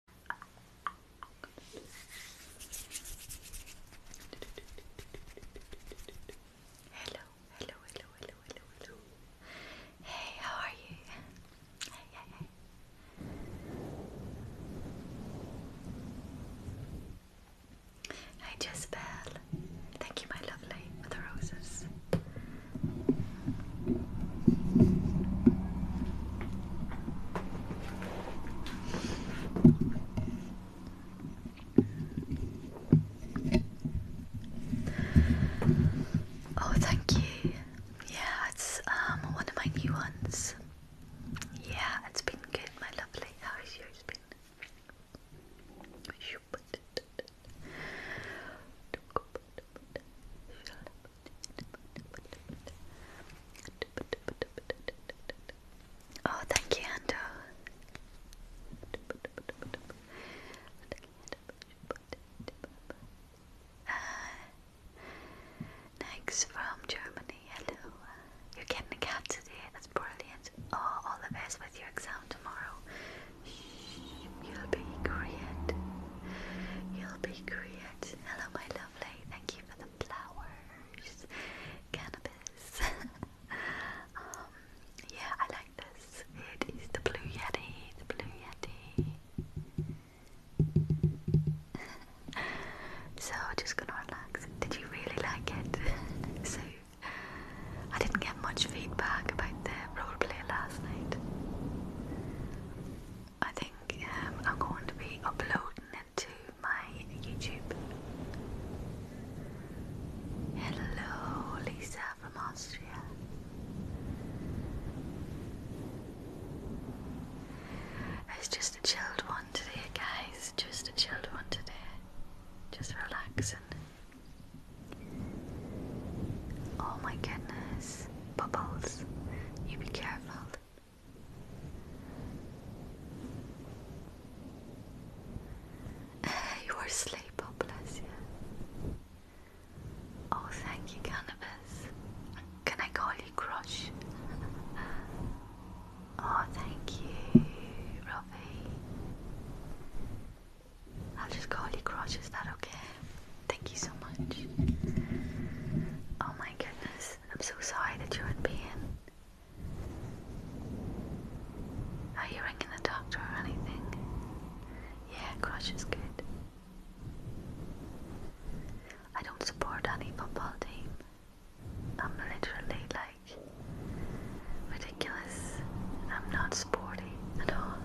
Hello, hello, hello, hello, hello, Hey, how are you? Hey, hey, hey. Hi, Jezebel. Thank you, my lovely, for the roses. Oh, thank you. Yeah, it's um one of my new ones. Yeah, it's been good, my lovely. How is yours been? Oh, thank you, Ando. Uh, next from Germany, hello. You're getting a cat today, that's brilliant. Oh, all the best with your exam tomorrow. You'll be great. You'll be great. Hello, my lovely thank you for the flowers. Cannabis. Um, yeah, I like this. It is the Blue Yeti, the Blue Yeti. so, just gonna relax. Did you really like it? so, I didn't get much feedback about the roleplay last night. I think um, I'm going to be uploading it to my YouTube. Hello, Lisa from Austria. It's just a chilled one today, guys. Just a chilled one today. Just relaxing. Oh my goodness. Bubbles. You be careful. you are asleep, oh, bless you. Oh, thank you, Cannabis. Can I call you Crush? oh, thank you, Robbie. I'll just call you Crush, is that okay? Thank you so much. Oh my goodness, I'm so sorry that you're in pain. Are you ringing the doctor or anything? Yeah, crush is good. I don't support any football team. I'm literally like ridiculous. I'm not sporty at all.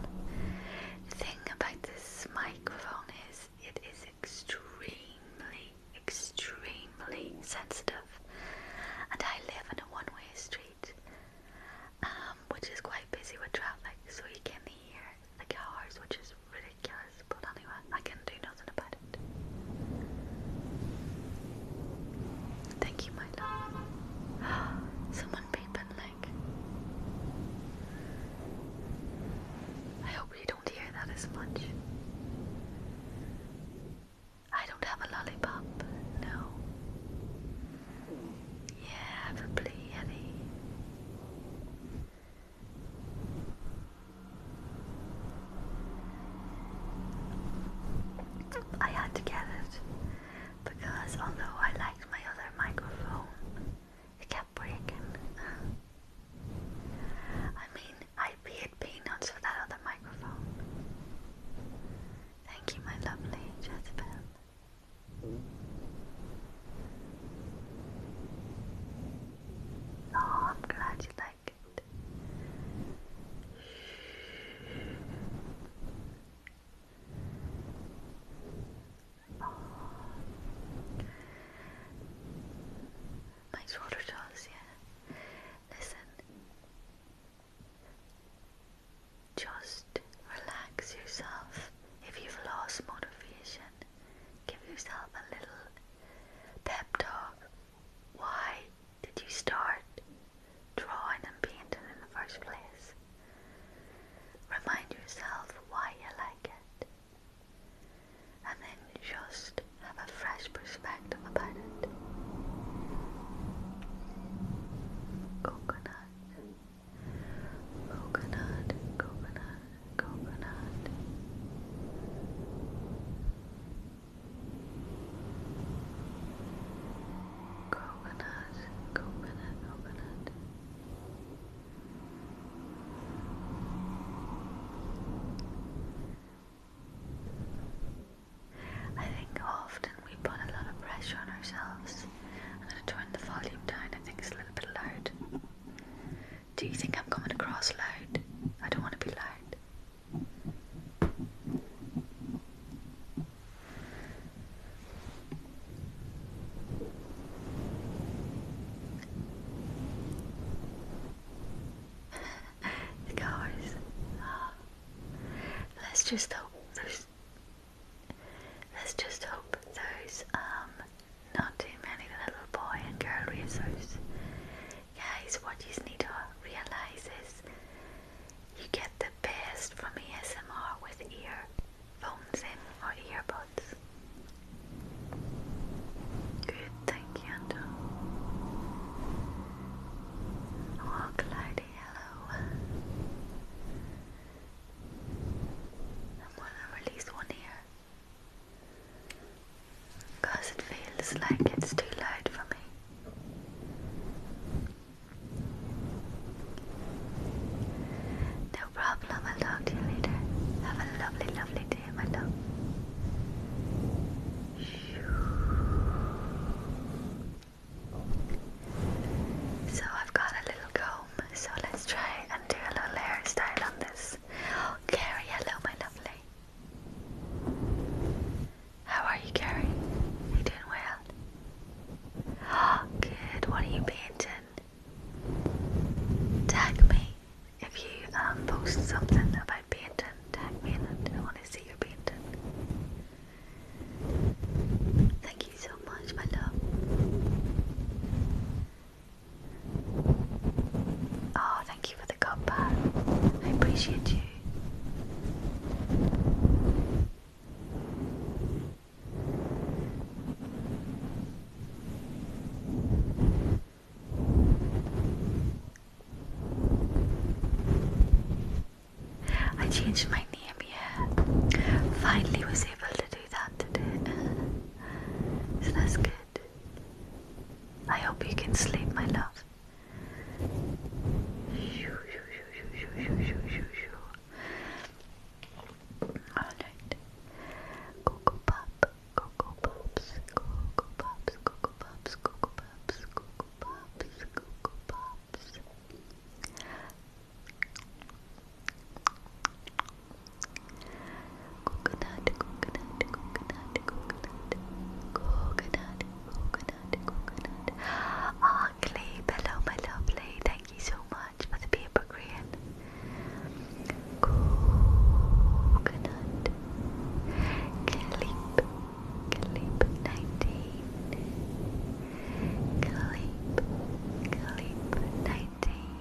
The thing about this microphone is it is extremely, extremely sensitive. And I live in a one way street, um, which is quite busy with traffic, so you can hear the cars, which is ridiculous. But anyway, I can do nothing about it. Thank you, my love. Someone peeping, like. I hope you don't hear that as much. I don't have a lollipop, no. Yeah, have a plea, I had to get it because although I liked my other microphone, it kept breaking. I mean, I paid peanuts for that other microphone. Thank you, my lovely Jezebel. Oh, I'm glad you like it. Oh. My shoulder yeah. Listen. Just relax yourself. If you've lost motivation, give yourself a little pep talk. Why did you start drawing and painting in the first place? Remind yourself why you like it and then just have a fresh perspective about it. Coconut, coconut, coconut, coconut. Coconut, coconut, coconut. I think often we put a lot of pressure on ourselves. i turn the volume down, I think it's a little bit loud. Do you think I'm coming across loud? I don't want to be loud it uh, Let's just hope those. Let's just hope those um not too many little boy and girl racers. Guys, what you need to realize is you get the best from ASMR with earphones in or earbuds. Good, thank you, Oh, Clyde, hello. I'm gonna release one here because it feels like it's too loud for me. No problem, I'll talk to you later. Have a lovely, lovely so I've got a little comb, so let's try and do a little hairstyle on this. Carrie, hello, my lovely. How are you, Carrie? you doing well? Oh, good. What are you painting? Tag me if you um, post something about painting, tag me in I want to see your painting. Thank you so much, my love. Oh, thank you for the cup I appreciate you. I changed my name, yeah. Finally was able to do that today. So that's good. I hope you can sleep, my love. Alright. Go, go, pop. Cocoa Pops, Cocoa Pops, Cocoa Coconut, coconut, coconut, coconut, coconut, coconut, coconut. Ah, Clay, hello, my lovely. Thank you so much for the paper, Green. Coconut Calip Calip nineteen Calip Calip nineteen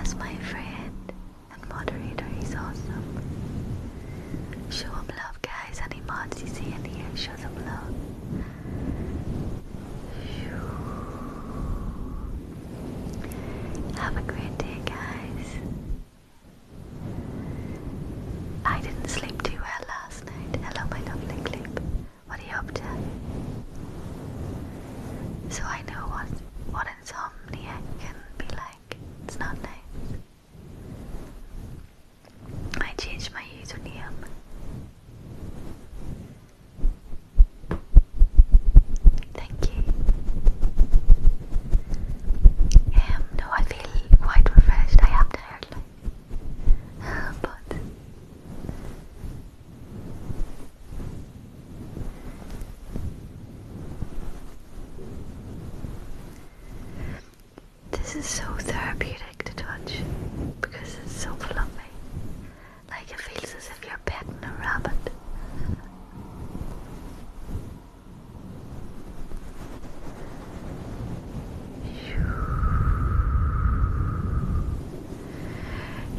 As my friend and moderator he's awesome. Show him love guys Any mods you see and here show them love. Have a great day, guys. I didn't sleep too well last night. Hello, my lovely clip. What are you up to? So I know what what insomnia can be like. It's not nice. I changed my username. Thank you. Um, no, I feel quite refreshed. I am tired, like, but this is so therapeutic to touch because it's so fluffy like it feels as if you're petting a rabbit.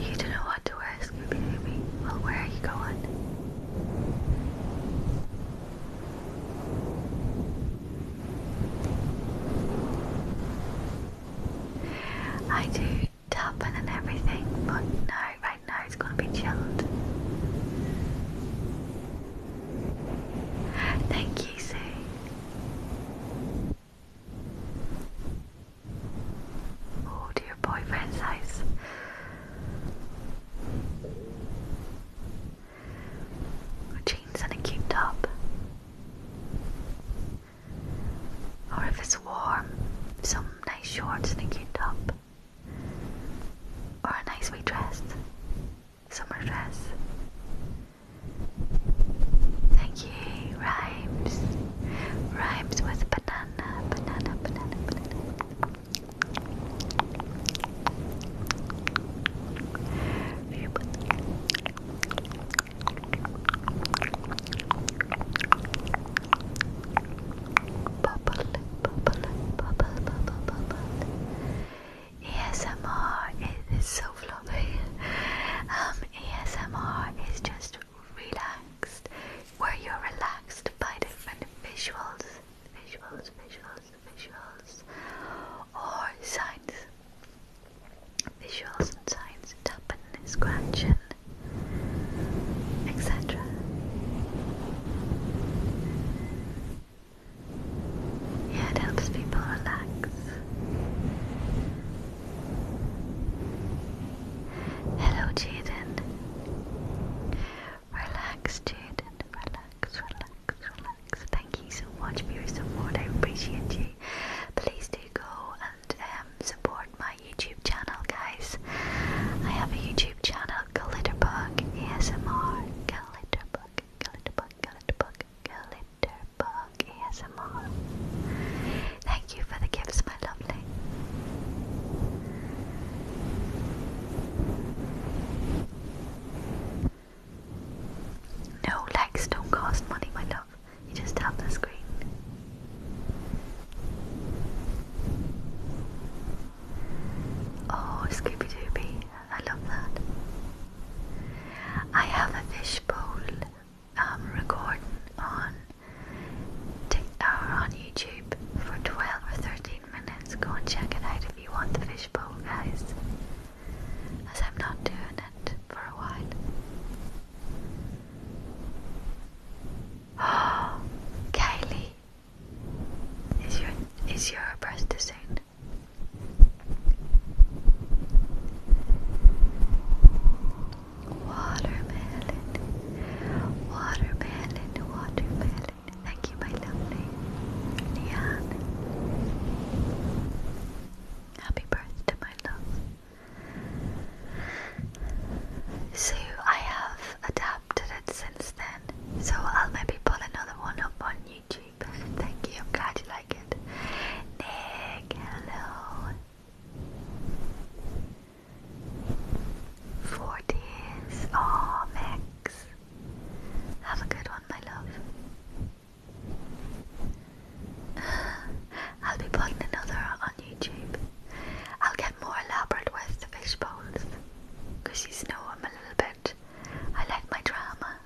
You don't know what to wear, Scooby Well, where are you going? I do Top and everything, but no, right now it's gonna be chilled. Thank you, Sue. Oh dear boyfriend's house. Jeans and a cute top. Or if it's warm, some nice shorts and a top, or a nice wee dress, summer dress. Thank you, rhymes, rhymes with banana, banana, banana, banana. Bubble, bubble, bubble, bubble, bubble. ASMR is, is so fluffy. Um, ASMR is just relaxed, where you're relaxed by different visuals, visuals, visuals, visuals, or signs, visuals and signs, tapping, scratching, etc. Yeah, it helps people relax. Hello, Jaden. Relax, Jaden. Relax, relax, relax. Thank you so much for your support. I appreciate you. Please do go uh, and um, support my YouTube channel, guys. I have a YouTube channel, Glitterbug ASMR, Glitterbug, Glitterbug, Glitterbug, Glitterbug ASMR. Thank you for the gifts, my lovely. No, likes don't cost money, my love. You just tap the screen. Oh, Scooby B, I love that. I have a fishbowl um, recording on, uh, on YouTube for 12 or 13 minutes. Go and check it out if you want the fishbowl, guys, as I'm not doing it for a while. Kylie, is your is your breast the same? Watermelon, watermelon, watermelon. Thank you, my lovely Leanne. Happy birthday, my love. So I have adapted it since then. So I'll maybe put another one up on YouTube. Thank you, I'm glad you like it. Nick, hello. Four days. Oh, Max. Have a good one, my love. I'll be putting another on YouTube. I'll get more elaborate with the fish bowls because you know i a little bit. I like my drama.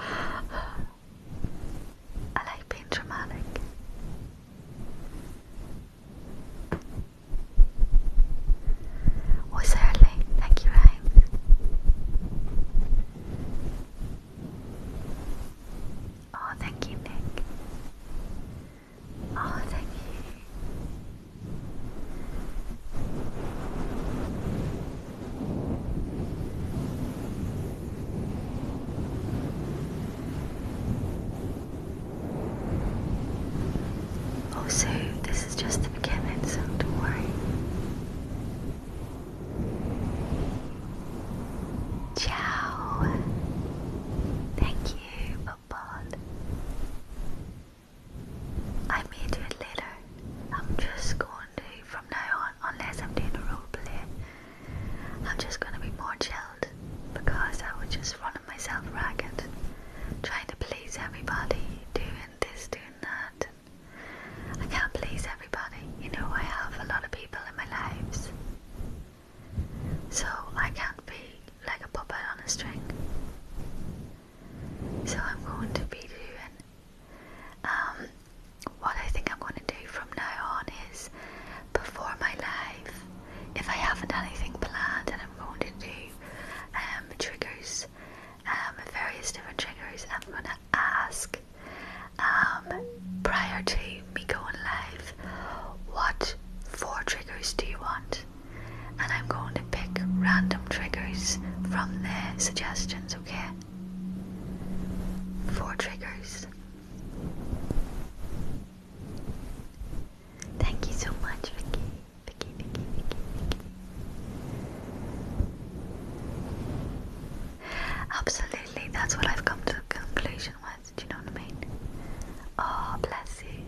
I like being dramatic. Oh, certainly. Thank you, Ryan. Oh, thank you, Nick. Oh, thank you. Also, this is just the beginning, so don't worry. Ciao. Thank you football. I may do it later. I'm just going to, from now on, unless I'm doing a role play, I'm just going to be more chilled because I was just running myself ragged, trying to please everybody, doing this, doing that. I can't please everybody, you know, I have a lot of people in my lives so I can't be like a puppet on a string. So I'm going to be doing um, what I think I'm going to do from now on is before my life, if I haven't anything planned, then I'm going to do um, triggers, um, various different triggers. I'm going to ask prior to me going live. What four triggers do you want? And I'm going to pick random triggers from their suggestions, okay? Four triggers. Thank you so much, Vicky. Vicky, Vicky, Vicky, Vicky. Absolutely, that's what I've come to a conclusion with. Do you know what I mean? Oh, bless you.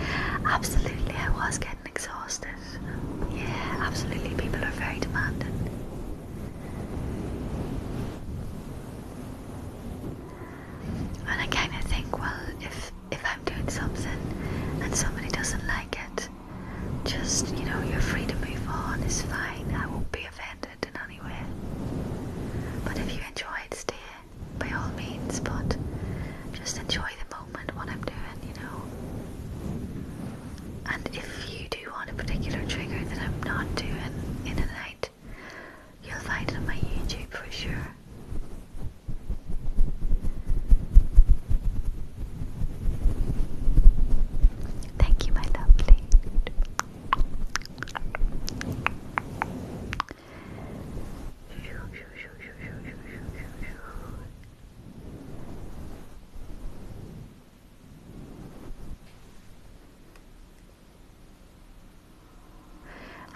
absolutely, I was getting exhausted. Yeah, absolutely. People are very demanding. And I kind of think, well, if if I'm doing something and somebody doesn't like it, just you know, you're free to move on. It's fine. I won't be be offended in any way. But if you enjoy it, staying, by all means, but just enjoy the moment what I'm doing, you know. And if you do want a particular trigger that I'm not doing in a night, you'll find it on my YouTube for sure. Thank you, my lovely.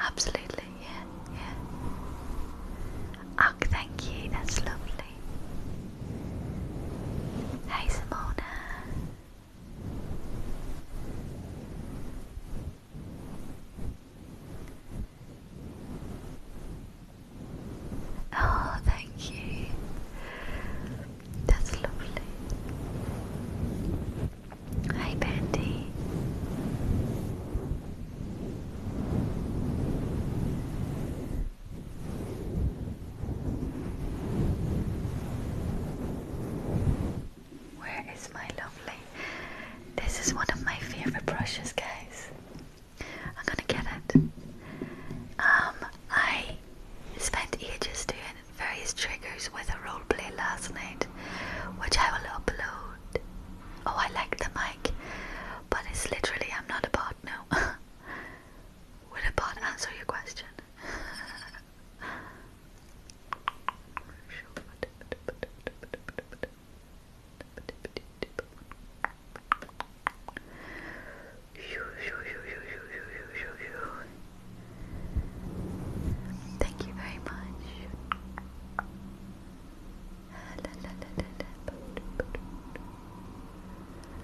Absolutely, yeah, yeah. Oh, thank you, that's lovely lovely. Hey Simona. Oh, thank you. That's lovely. Hi, Bendy. Where is my lovely? This is one of my favorite brushes, guys. I'm gonna get it. Um, I spent ages doing various triggers with a role play last night, which I will upload. Oh, I like the mic, but it's literally I'm not a about no. Would a bot answer your question? Thank you very much.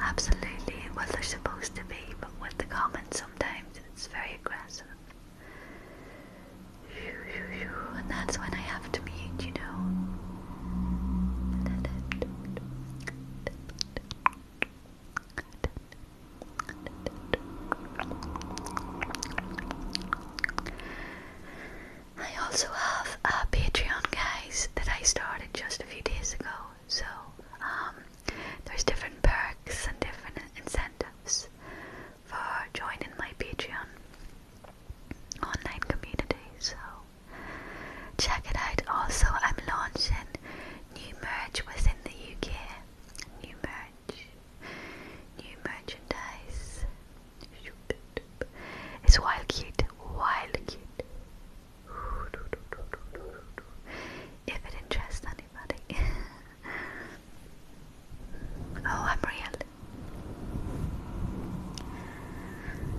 Absolutely, what they're supposed to be, but with the comments sometimes it's very aggressive. And that's when I have to mute, you know. I also have a Patreon, guys, that I started just a few days ago. So um, there's different perks and different incentives for joining my Patreon online community. So check it out. Also, I'm launching new merch within the UK. New merch, new merchandise. It's wild cute, wild cute. If it interests anybody. oh, I'm real.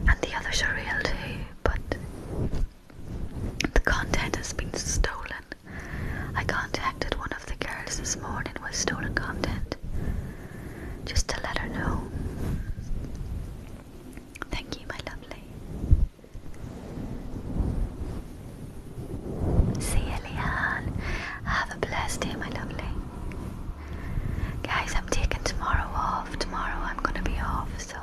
And the others are real too, but the content has been stolen. I contacted one of the girls this morning with stolen content just to let her know. Thank you, my lovely. See you, Leanne. Have a blessed day, my lovely. Guys, I'm taking tomorrow off. Tomorrow I'm going to be off, so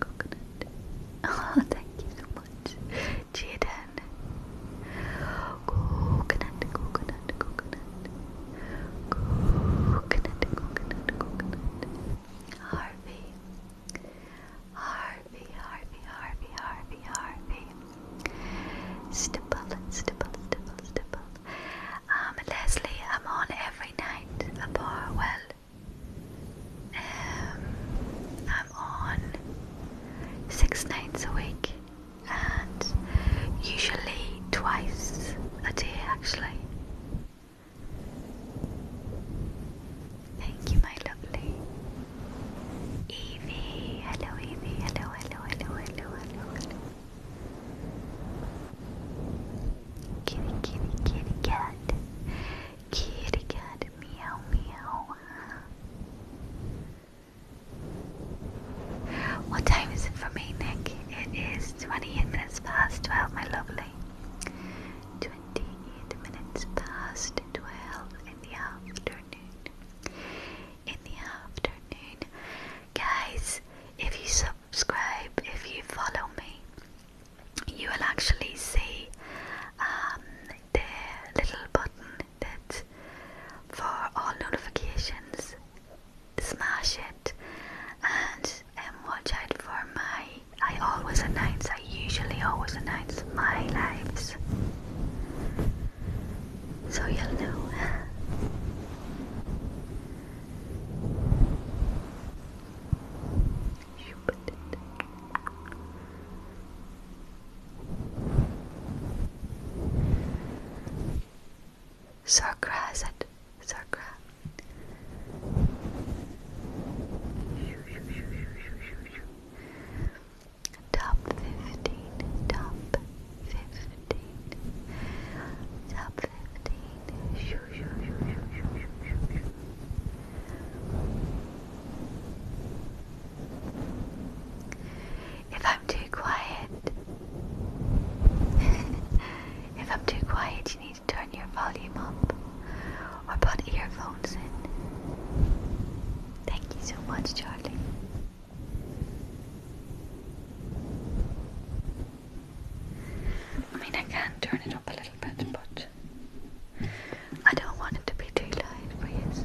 coconut, oh, thank you so much, Jaden. Coconut, coconut, coconut. Coconut, coconut, coconut. Harvey. Harvey, Harvey, Harvey, Harvey, Harvey. Stipple, stipple, stipple, Um, Leslie, I'm on every night. A bar, well, um, I'm on six nights a week and usually twice a day actually. Thank you, my lovely Evie. Hello, Evie. Hello, hello, hello, hello, hello, hello. Kitty, kitty, kitty cat. Kitty cat, meow meow. What time is it for me, Nick? It is 28 minutes past 12, my lovely. 28 minutes past 12 in the afternoon. In the afternoon. Guys, if you subscribe, if you follow me, you will actually see um, the little button that for all notifications. Smash it and um, watch out for my. I always announce, I usually always announce my lives. So you'll know. You put it. Top fifteen. Top fifteen. Top fifteen. If I'm too quiet, if I'm too quiet, you need to turn your volume up or put earphones in. Thank you so much, Charlie. I mean, I can turn it up a little bit, but I don't want it to be too light, please.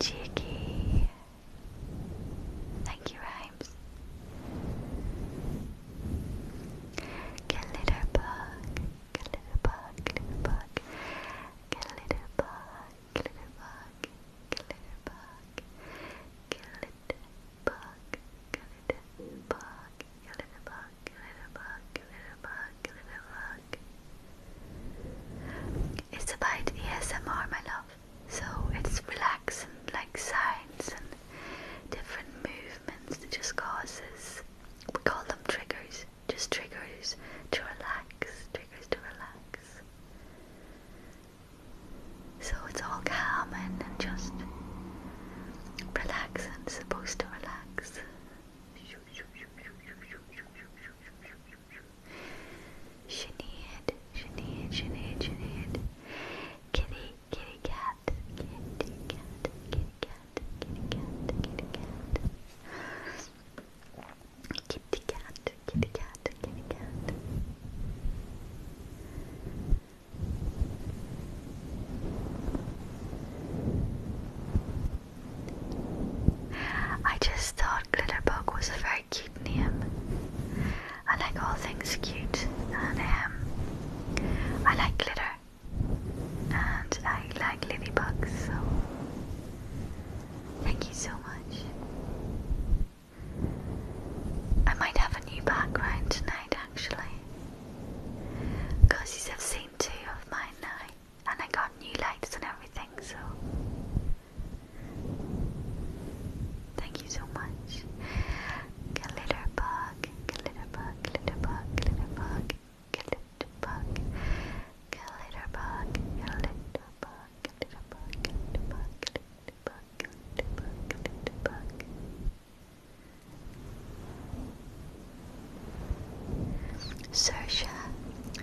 Cheeky. Thank you, Rhymes. Get a little bug, get a little bug, get a bug, get a little bug, get a little bug, get a little bug, get a little bug, it's about the ASMR, my love. So it's relaxing, like sounds and different movements that just causes. We call them triggers. Just triggers to relax. Triggers to relax. So it's all calming and just relax and supposed to relax. Sinead, Sinead, Sinead, Sinead. Kitty, kitty cat, kitty cat, kitty cat, kitty cat, kitty cat. Kitty cat, kitty cat, kitty cat. I just thought Glitterbug was a very cute name. I like all things cute, and um, I like glitter, and I like ladybugs, so thank you so much. I might have a new background tonight, actually. Cause you have seen two of mine now, and I got new lights and everything, so thank you so much. Glitter bug, glitter bug, glitter bug, glitter bug, glitter bug, glitter bug, Sosha,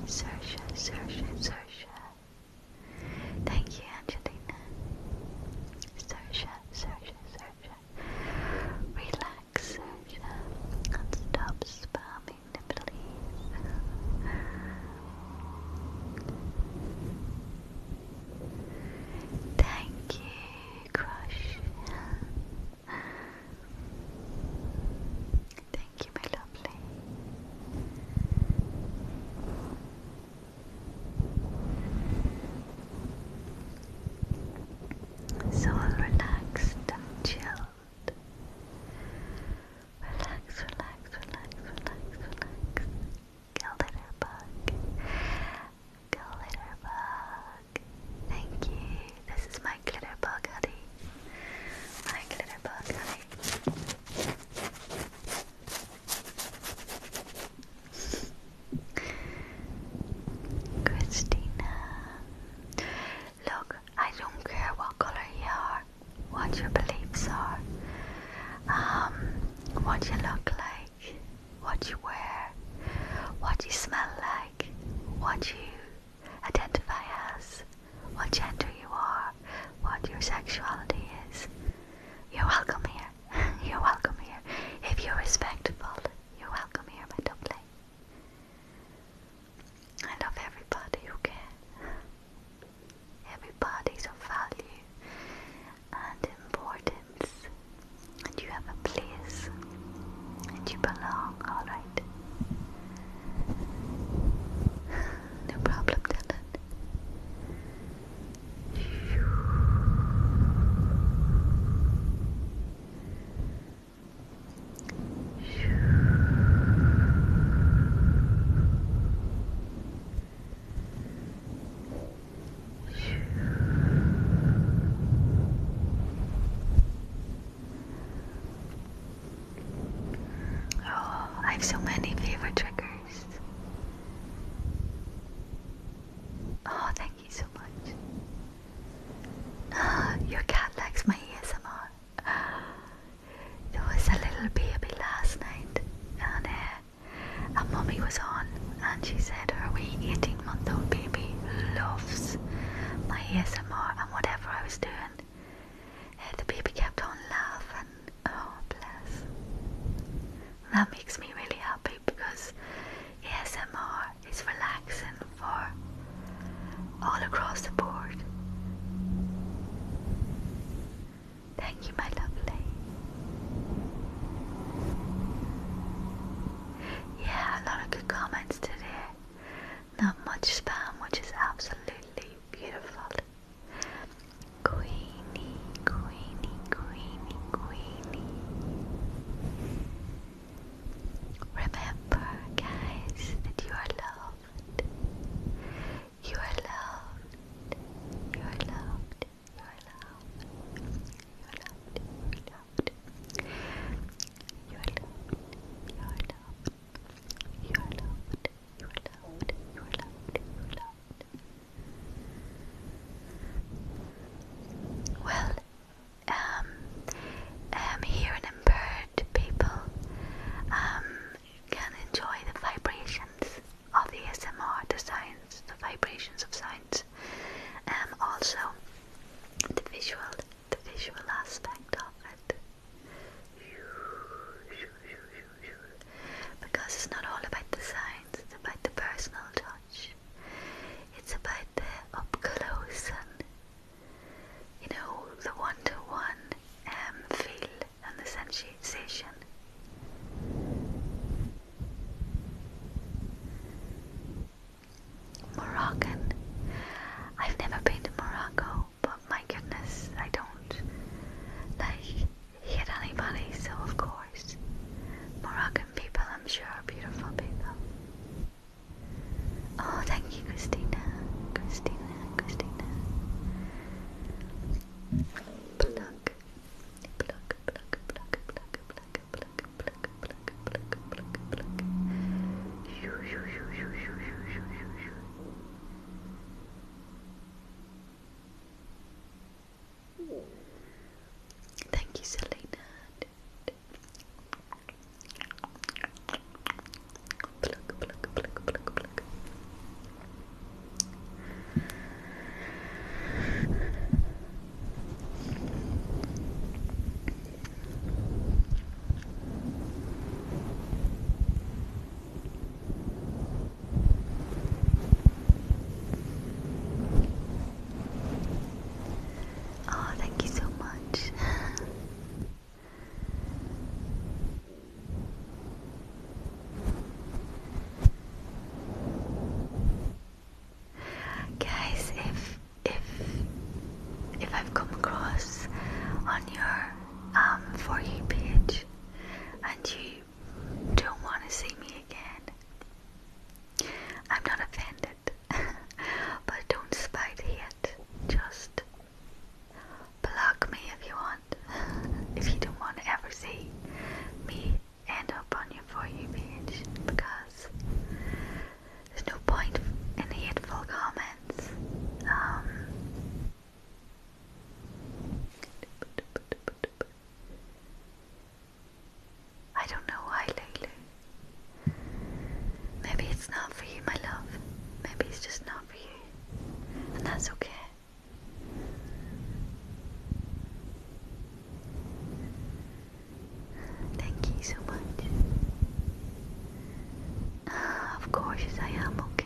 Sosha, Sosha, Sosha. Thank you, Angelina. Sersha, Sersha, Sersha. Relax, Sersha, and stop spamming the Thank you, Thank you, my lovely. So relaxed and chilled. Relax, relax, relax, relax, relax. Get a little bug. Glitterbug. Thank you. This is my Glitterbug hoodie. My Glitterbug hoodie. Christina. Look, I don't care what color you are, what your beliefs are, um, what you look like what you wear, what you smell like, what you identify as, what gender you are, what your sexuality is. You're welcome here. You're welcome here. If you're respectful, you're welcome here, my lovely. I love everybody, okay? Everybody's of value and important and you have a place, and you belong, alright? No problem, Dylan. Oh, I have so many favorite triggers. Oh, thank you so much. Ah, your cat likes my ASMR. There was a little baby last night, and uh, a mummy was on, and she said her wee 18 eight month old baby loves my ASMR and whatever I was doing. Uh, the baby kept on laughing. Oh, bless. That makes me really happy because ASMR is relaxing for all across the board. Thank you, my lovely. Yeah, a lot of good comments today. Not much spam, which is absolutely beautiful. Queenie, Queenie, Queenie, Queenie. Remember, guys, that you are loved. You are loved. You are loved. You are loved. You are loved. You are loved. You are loved. You are loved. You are loved. You are loved. You are loved. Well, um, I'm um, here in Bird, people. Um, you can enjoy the vibrations of the SMR, the sounds, the vibrations of sound. And um, also, the visual, the visual aspect of it, because it's not all about the signs. it's about the personal touch. It's about the up close and you know the one-to-one -one, um, feel and the sensation. Moroccan. I've never been to Morocco, but my goodness, I don't like hit anybody, so of course. Moroccan people, I'm sure, are beautiful people. Oh, thank you, Christina. Christina, Christina. Pluck, pluck, pluck, pluck, pluck, pluck. Thank you, Selena. Oh, thank you so much. Guys, if if if I've come across on your um for you page and you don't want to see me again, I'm not offended. but don't spite hate. Just block me if you want. if you don't want to ever see me end up on your for you page because there's no point in hateful comments. Um, I don't know why lately. Maybe it's not for you, my love. Maybe it's just not for you. And that's okay. Thank you so much. Ah, of course, I am okay.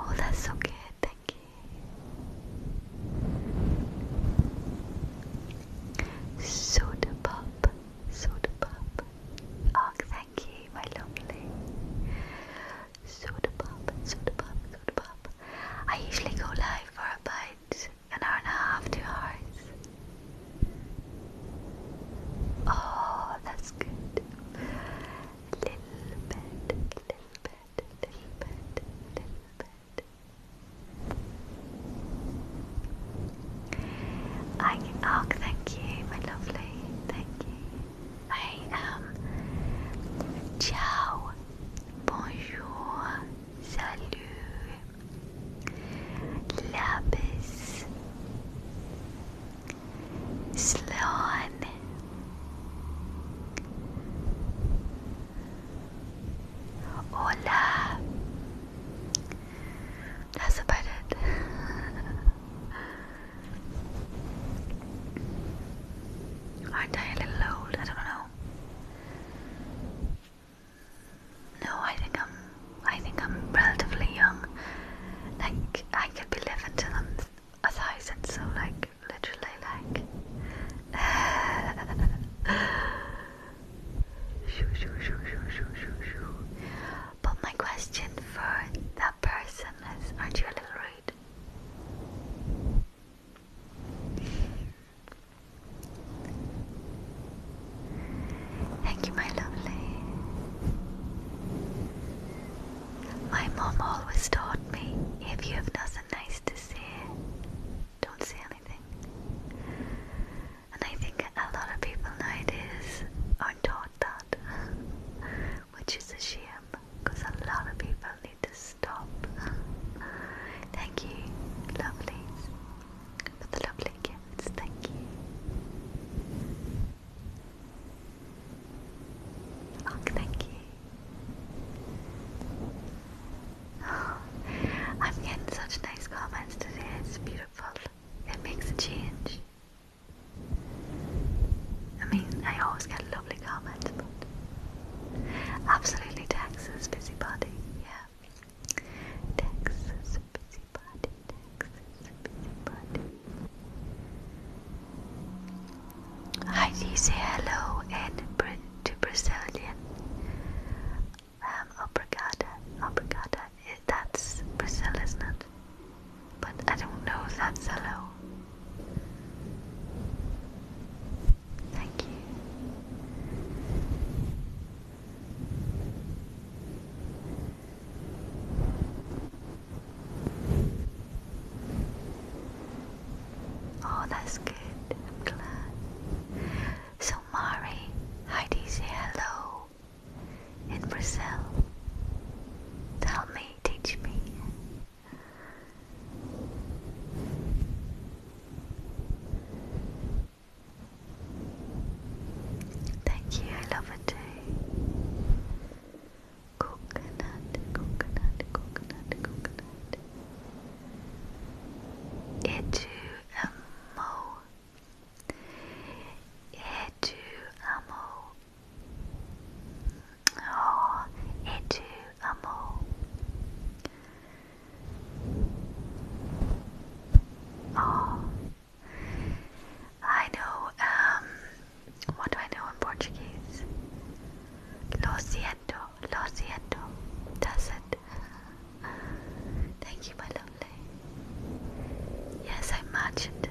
Oh, that's so good. Thank you. Soda pop, soda pop. Oh, thank you my lovely. Soda pop, soda pop, soda pop. I usually go live for about an hour and a half, two hours. Oh, that's good. Little bit, little bit, little bit, little bit. I, oh, thank you, my lovely. Thank you. I am. Ciao. Bonjour. Salut. Lapis. Sloan. Hola. That's about it. Aren't I a little old? I don't know. No, I think I'm. I think I'm relatively young. Like I could be living till I'm a thousand. So like literally like. shoo, shoo, shoo, shoo, shoo, shoo, shoo. But my question for the person is. Aren't you a little rude? Thank you, my lovely. My mom always taught me if you have nothing nice to say, don't say anything. And I think a lot of people nowadays aren't taught that. which is a shame because a lot of people need to stop. Thank you, lovelies, for the lovely gifts. Thank you. Oh, thank you. I'm getting such nice comments today. It's beautiful. It makes a change. I mean, I always get lovely comments, but absolutely Texas busybody, yeah. Texas busybody, Texas busybody. Heidi, say hello in to Brazilian. Um, obrigada, obrigada that's Brazil, isn't it? But I don't know if that's hello. Thank you. Oh, that's good. I'm glad. So, Mari, how say hello? in Brazil to me, teach me. Thank you, I love it too. Coconut, coconut, coconut, coconut. Itu amo. Itu amo. Oh, e tu, amor. Oh, I know, um, what do I know in Portuguese? Lo siento, lo it. Thank you, my lovely. Yes, I imagined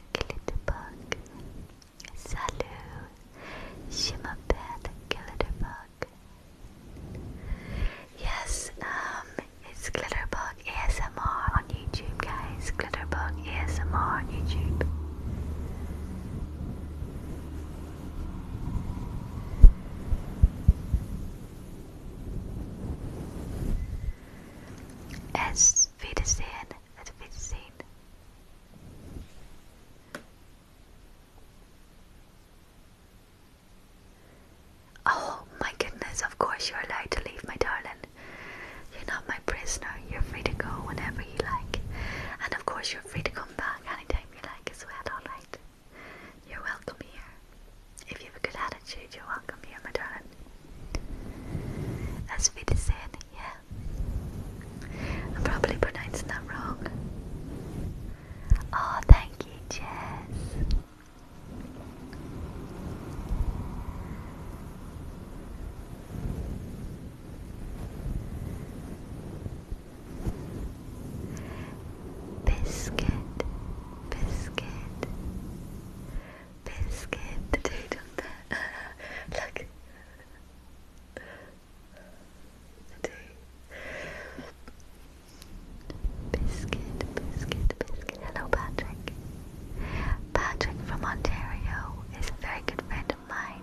Glitter Bug. Salut, je m'appelle Glitterbug. Yes, um, it's Glitterbug ASMR on YouTube, guys. Glitterbug ASMR on YouTube. S Auf Wiedersehen. Auf Wiedersehen. Oh my goodness, of course you're allowed to leave, my darling. You're not my prisoner. You're free to go whenever you like. And of course, you're free to come back anytime you like as well, alright? You're welcome here if you have a good attitude. You're Welcome here, my darling. As Vidisen, yeah. I probably pronouncing that wrong. Oh, thank you, Jess. Biscuit, biscuit, Biscuit the dude on the look the dude Biscuit Biscuit Biscuit Hello Patrick Patrick from Ontario is a very good friend of mine.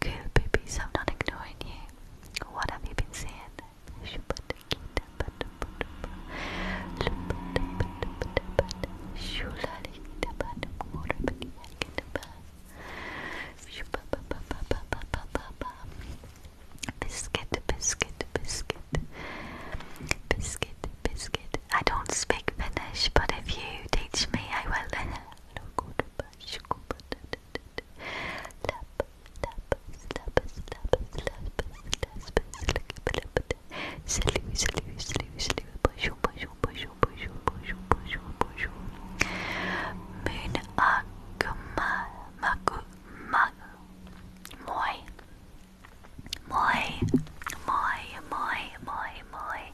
Cool babies, I'm not ignoring you. What have you been saying? Biscuit, biscuit, biscuit, biscuit, biscuit. I don't speak Finnish, but if you teach me, I will. Moon akuma maku maku moi moi moi moi moi moi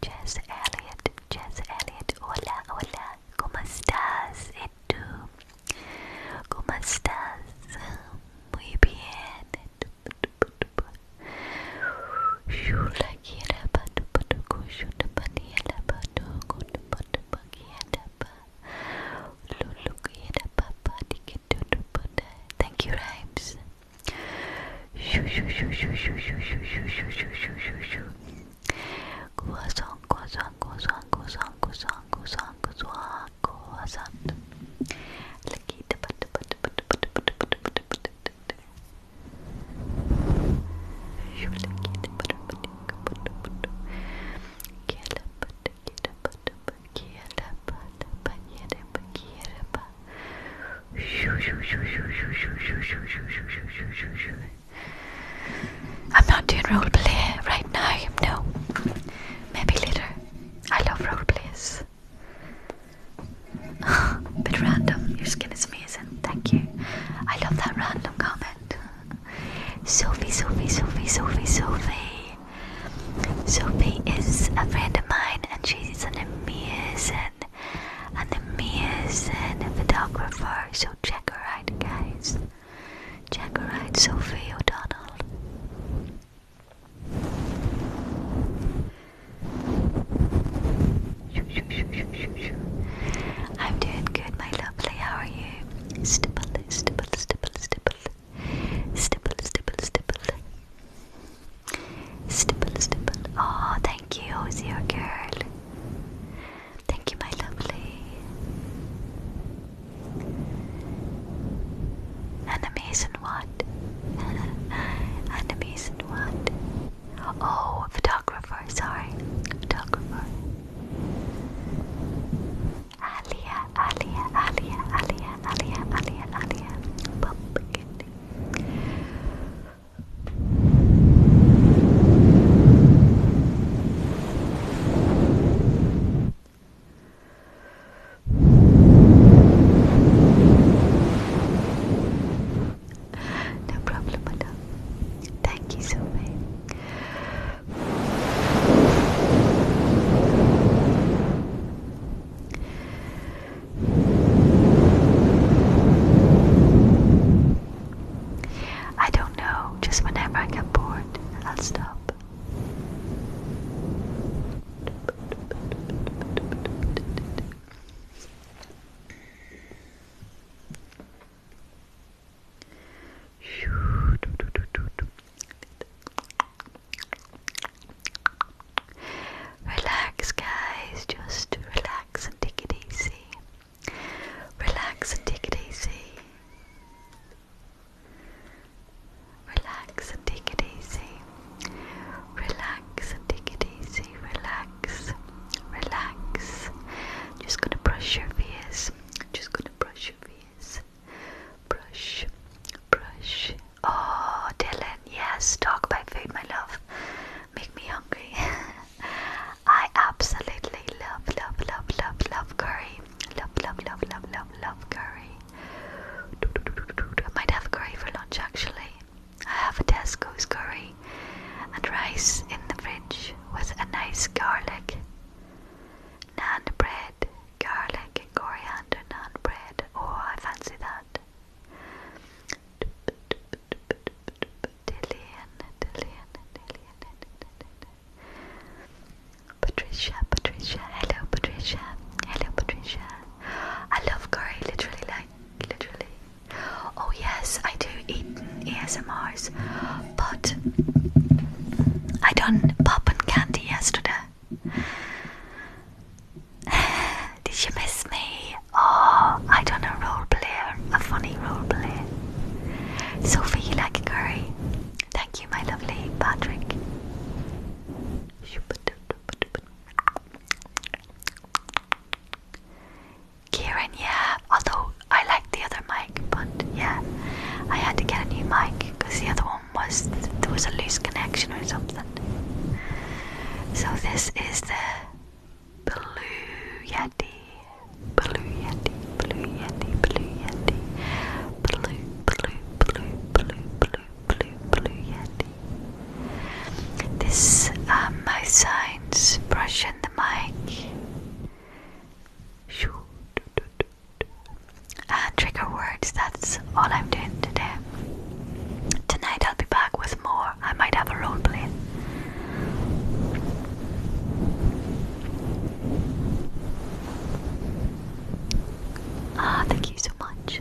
Jess Elliot, Jess Elliot, hola, hola, ¿cómo estás? ¿Y tú? ¿Cómo estás? Muy bien. Thank you, Rhymes. Croissant, croissant, croissant, croissant, croissant, croissant, croissant, croissant. Kierba, kierba, kierba, kierba, kierba, I'm not doing roleplay right now, no. Maybe later. I love roleplays. Bit random, your skin is amazing, thank you. I love that random comment. Sophie, Sophie, Sophie, Sophie, Sophie. Sophie is a friend of mine and she's an amazing animation photographer. So check her out, guys. Check her out, Sophie O'Donnell. I'm doing good, my lovely. How are you? Stipple, stipple, stipple, stipple. Stipple, stipple, stipple. Stipple, stipple. Oh, thank you, Hosier girl. Thank you, my lovely. Animes and what? Animes and what? Oh, photographer, sorry. Photographer. Alia, Alia, Alia, Alia, Alia, Alia, Alia. Pumpkin. No problem, madam. Thank you so much. I don't know, just whenever I get bored, I'll stop. Relax, guys, just relax and take it easy. Relax and take it easy. Relax and take it easy. Relax and take it easy. Relax. Relax. Just gonna brush your face. Just gonna brush your face. Brush. Brush. Oh, Dylan, yes. Dog by food, my love make me hungry. I absolutely love, love, love, love, love curry. Love, love, love, love, love, curry. I might have curry for lunch actually. I have a Tesco's curry and rice in the fridge with a nice garlic. Naan bread, garlic and coriander naan bread. Oh, I fancy that. Patricia, Patricia, hello Patricia, hello Patricia. I love curry, literally, like, literally. Oh yes, I do eat ESMRs, but I done pop and candy yesterday. Did you miss me? Oh, I don't know, role player, a funny role player. Sophie, you like curry? Thank you, my lovely Patrick. Kieran, yeah, although I liked the other mic, but yeah, I had to get a new mic because the other one was there was a loose connection or something. So this is the Blue Yeti, Blue Yeti, Blue Yeti, Blue Yeti, Blue, Blue, Blue, Blue, Blue, Blue, Yeti. This um, my signs brush in the mic. And ah, trigger words, that's all I'm doing today. Tonight I'll be back with more. I might have a role play. Ah, thank you so much.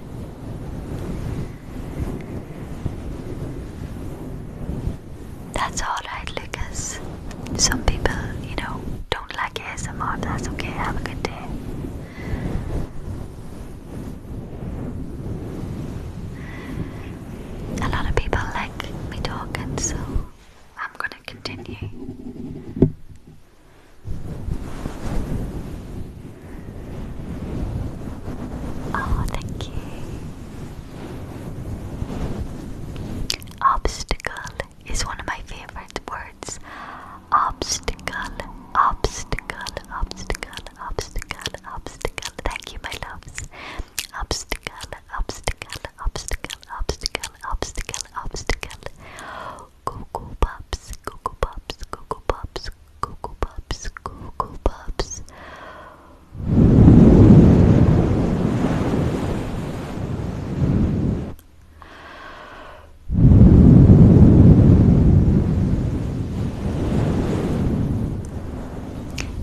That's alright, Lucas. Some people, you know, don't like ASMR, that's okay. Have a good day a lot of people like me talking, so I'm gonna continue. Oh, thank you. Obstacle is one of my favorite words. Obstacle, obstacle, obstacle, obstacle, obstacle. Thank you, my loves. Obstacle, obstacle, obstacle, obstacle, obstacle, obstacle. Google Pops, Google Pops, Google Pops, Google Pops, Google Pops.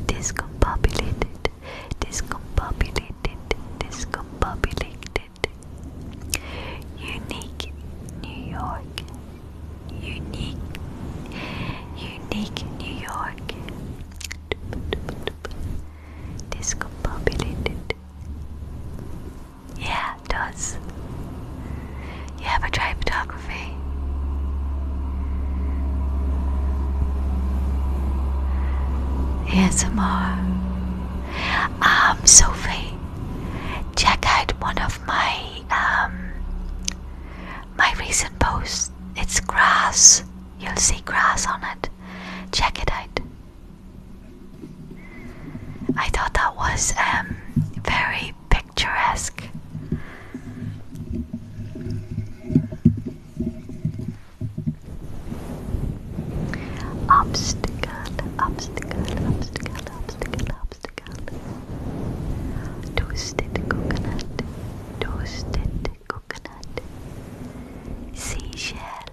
Disco discombobulated, discombobulated, discombobulated. Unique New York, unique, unique New York. Discombobulated. Yeah, does. You have a tribe moving. Here's more. Um, Sophie, check out one of my um my recent posts. It's grass. You'll see grass on it. Check it out. I thought that was um very picturesque. Obstacle, obstacle, obstacle, obstacle, obstacle. Toasted coconut, toasted coconut. Seashell,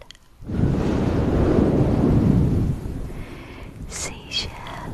seashell.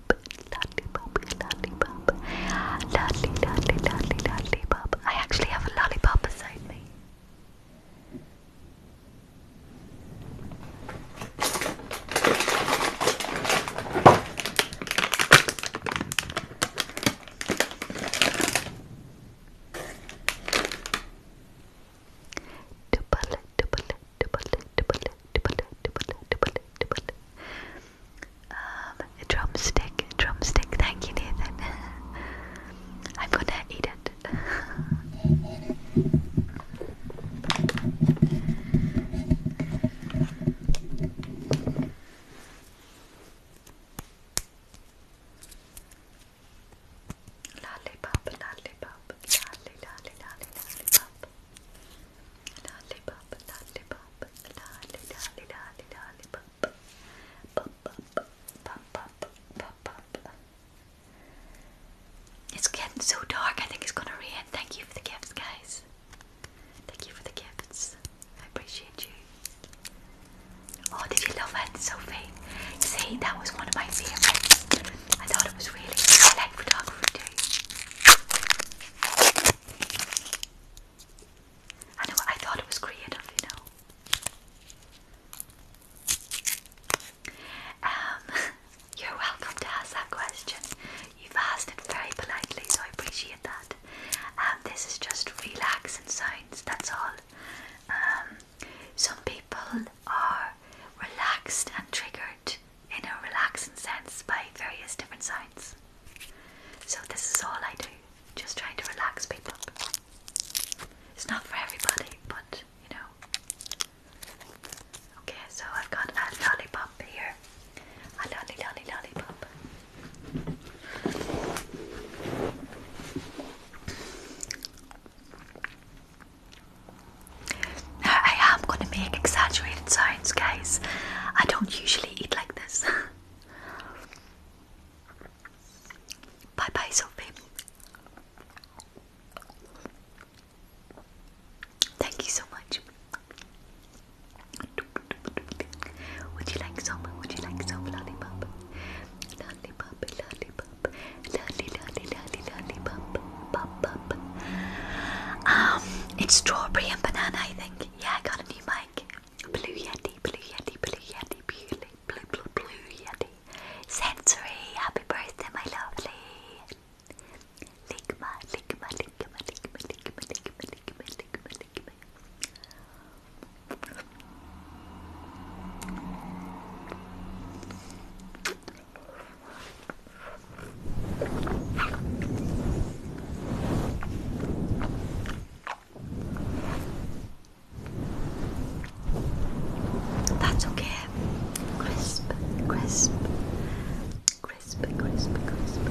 lollipop, lollipop, lolly, lollipop. I actually have a lollipop beside me. Double, double, double, double, um, a drumstick, a drumstick. Thank you, Nathan. I'm gonna eat it. lollipop, lollipop, lolly, lollipop. It's getting so dark, I think it's gonna rain. Thank you for the gifts, guys. Thank you for the gifts. I appreciate you. Oh, did you love it, Sophie? See, that was one of my favorites. I thought it was really. I know I thought it was creative, you know. Um, you're welcome to ask that question. You've asked it very politely, so I appreciate that. Um, this is just relaxing sounds, that's all. Um, some people are relaxed and triggered in a relaxing sense by various different signs. So, this is all I do, just trying to relax people. It's not for everybody, but you know. Okay, so I've got a lollipop here. A lolly lolly lollipop. I am going to make exaggerated sounds, guys. I don't usually eat like this. bye bye, Sophie. Thank you so much. Would you like some? Would you like some lollipop? Lollipop, lollipop, lolly, lolly, lollipop. Um, it's strawberry and banana, I think. Yeah, I got a new mic. Blue Yeti, Blue Yeti, Blue Yeti, Blue, Blue, Blue Yeti. Sensory, happy birthday, my lovely. Ligma, Ligma, Ligma, Ligma, Ligma, Ligma, Ligma, Ligma, Ligma. That's okay. Crisp, crisp, crisp, crisp, crisp.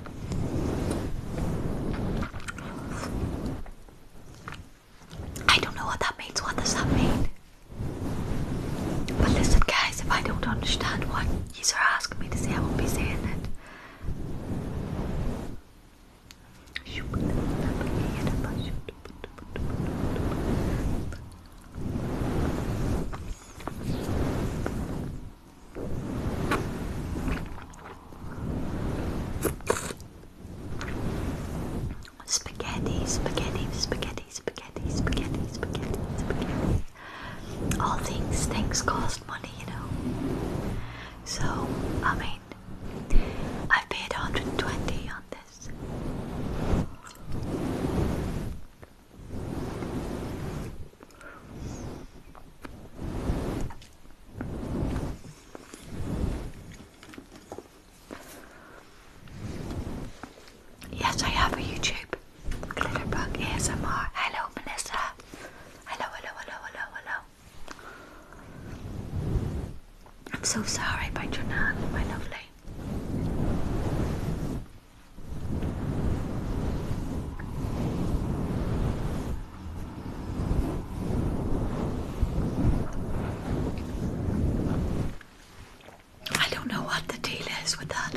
I don't know what that means. What does that mean? But listen, guys, if I don't understand what you are asking me to say, I won't be saying it. Spaghetti, spaghetti, spaghetti, spaghetti, spaghetti, spaghetti, spaghetti. All things, things cost money, you know. So, I mean, I paid 120 on this. Yes, I have a YouTube. Glitterbug ASMR. Hello, Melissa. Hello, hello, hello, hello, hello. I'm so sorry by Jonan, my lovely. I don't know what the deal is with that.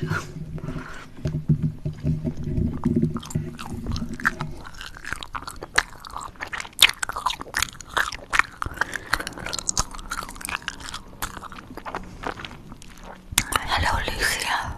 Hello, Lucia.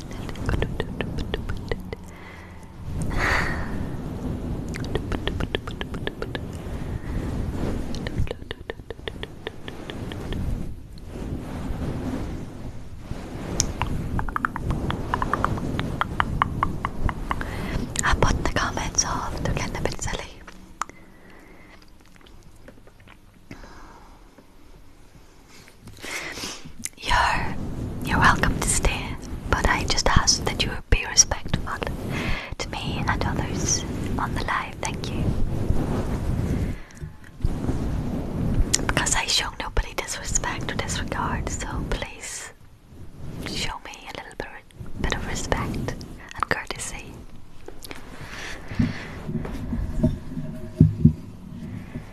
I put the comments off of Tuken the Pizzali. You're you're welcome to stay, but I just ask that you be respectful to me and others on the live. Thank you. Because I show nobody disrespect or disregard, so please show me a little bit, bit of respect and courtesy.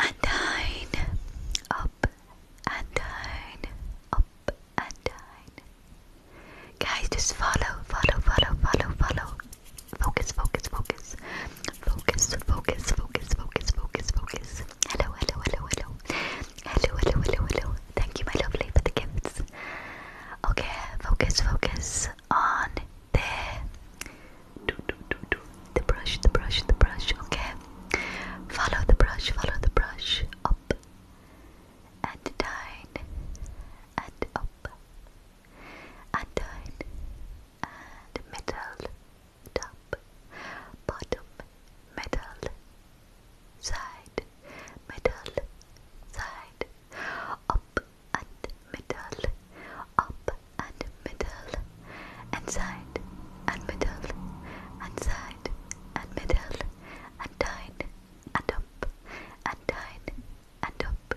and down, up and down, up and down. Guys, just follow, follow, follow, follow, follow. Focus, focus, focus. Focus, focus, focus, focus, focus, focus. Hello, hello, hello, hello. Hello, hello, hello, hello. Thank you, my lovely, for the gifts. Okay, focus, focus on the do, do, do, do, the brush, the brush, the brush, okay? Follow the brush, follow the brush up and down and up and down and middle, top, bottom, middle, side, middle, side, up and middle, up and middle, and side and middle, and side and middle, and down and up, and down and up.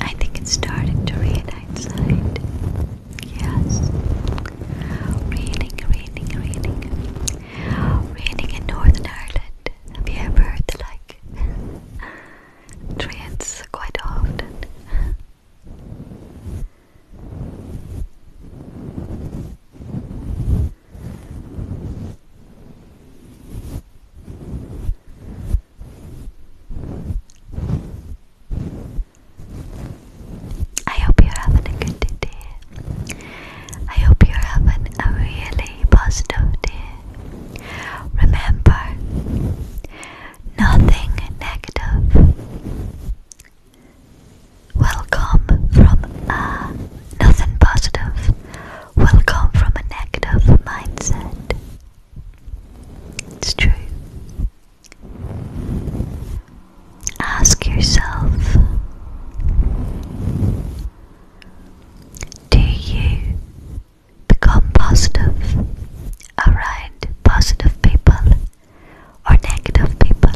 I think it's starting to rain outside. Yes. Raining, raining, raining. Raining in Northern Ireland. Have you ever heard the like? rains quite often. I hope you're having a good day. I hope you're having a really positive day. Remember, nothing negative will come from uh, nothing positive will come from a negative mindset. It's true. Ask yourself Do you become positive around positive people or negative people?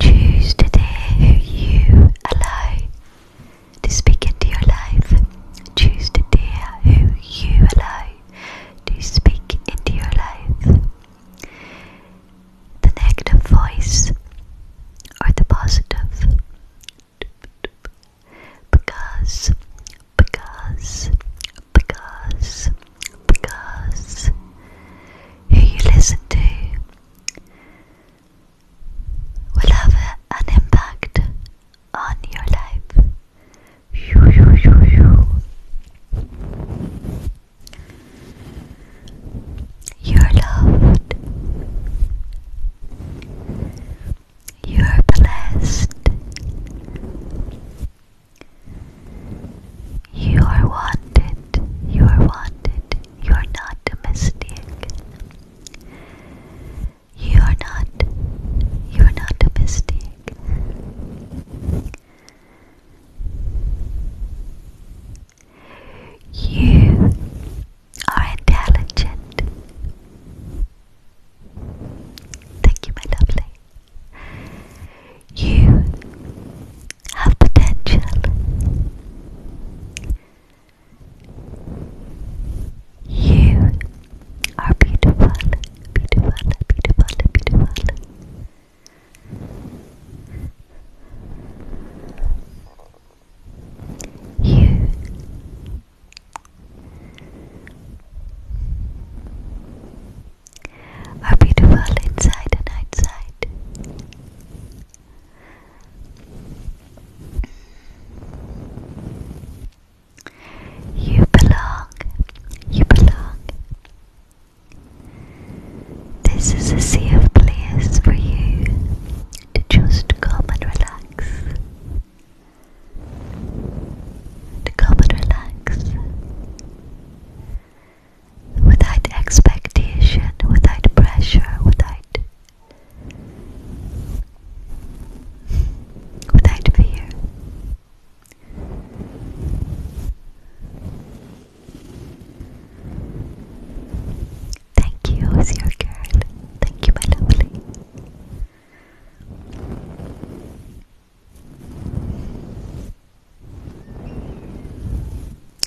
Choose today who you allow to speak into your life. Choose today who you allow to speak into your life. The negative voice or the positive. Because, because, because because who you listen to will have an impact on your life. You, you, you, you. You're loved. You're blessed. You are wanted, you are wanted, you are not a mystic. You are not, you are not a mistake. You are intelligent. Thank you, my lovely. You have potential. You are beautiful, beautiful, beautiful, beautiful. You are beautiful inside and outside. You belong, you belong. This is a safe place for you to just come and relax. To come and relax without expectation, without pressure, without without fear. Thank you, it's your girl. Thank you, my lovely.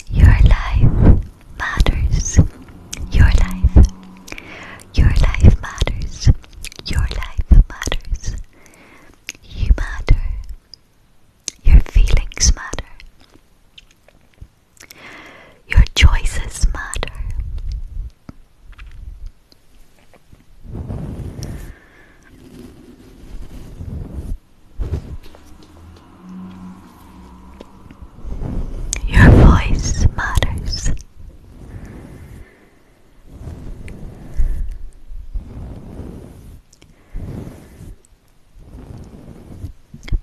Your life matters. Your life. Your life matters. Your life matters. You matter. Your feelings matter. Your choices matter. Your voice matters.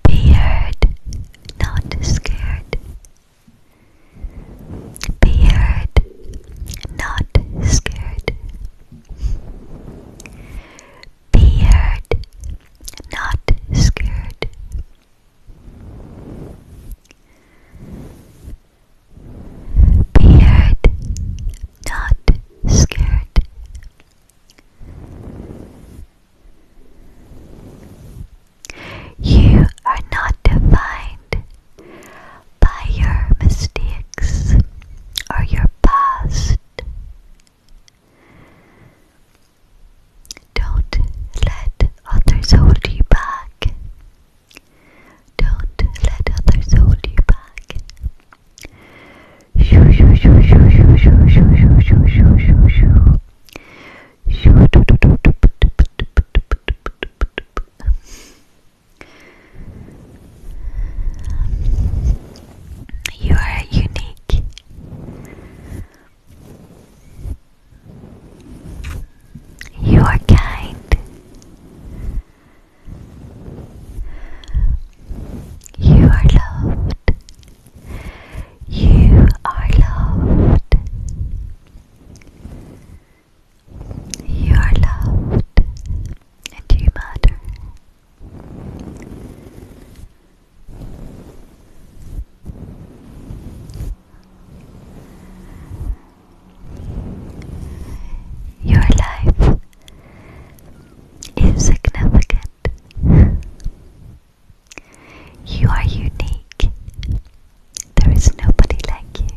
Be heard, not scared. Be heard, not scared. Beard, not scared. Beard, not scared. You are not defined by your mistakes or your past. Don't let others hold you back. Don't let others hold you back. Shoo, shoo, shoo, shoo, shoo, shoo, shoo, shoo, shoo, shoo, shoo. Shoo, do, do, do, do, do, do, do, do, do, do, do, do. You are unique. You are kind. You are loved. You are loved. You are loved. And you matter. Your life is significant. You are unique. There is nobody like you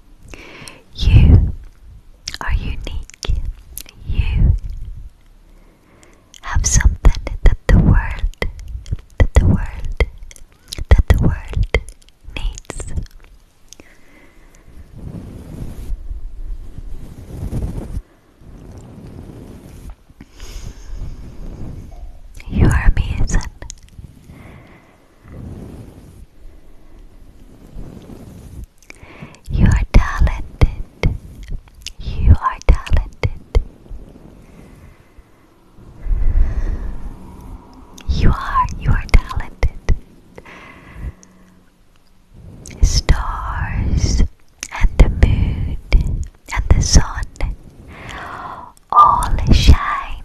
You are unique. You have something that the world, that the world, that the world needs. You are amazing. You are talented. You are talented. You are, you are talented. Stars and the moon and the sun all shine,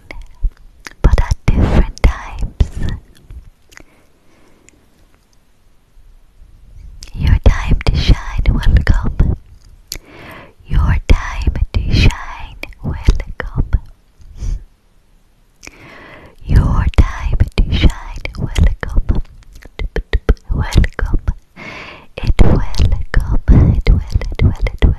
but at different times. Your time to shine will come. Your time to shine will come. Your time to shine will come. Will come. It will come. It will. It will. It will.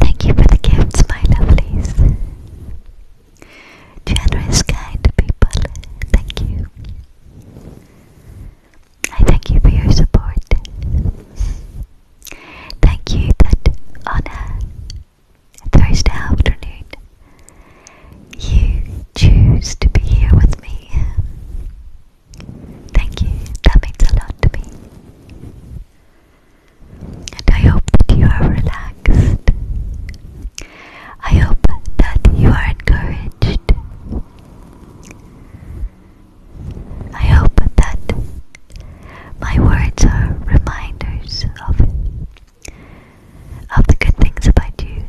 Thank you for the gifts, my lovelies. Generous, kind people, thank you. I thank you for your support. Thank you that on a Thursday afternoon you choose to be here with me. Thank you, that means a lot to me and I hope that you are relaxed. I hope that you are encouraged. I hope that my words are reminders of of the good things about you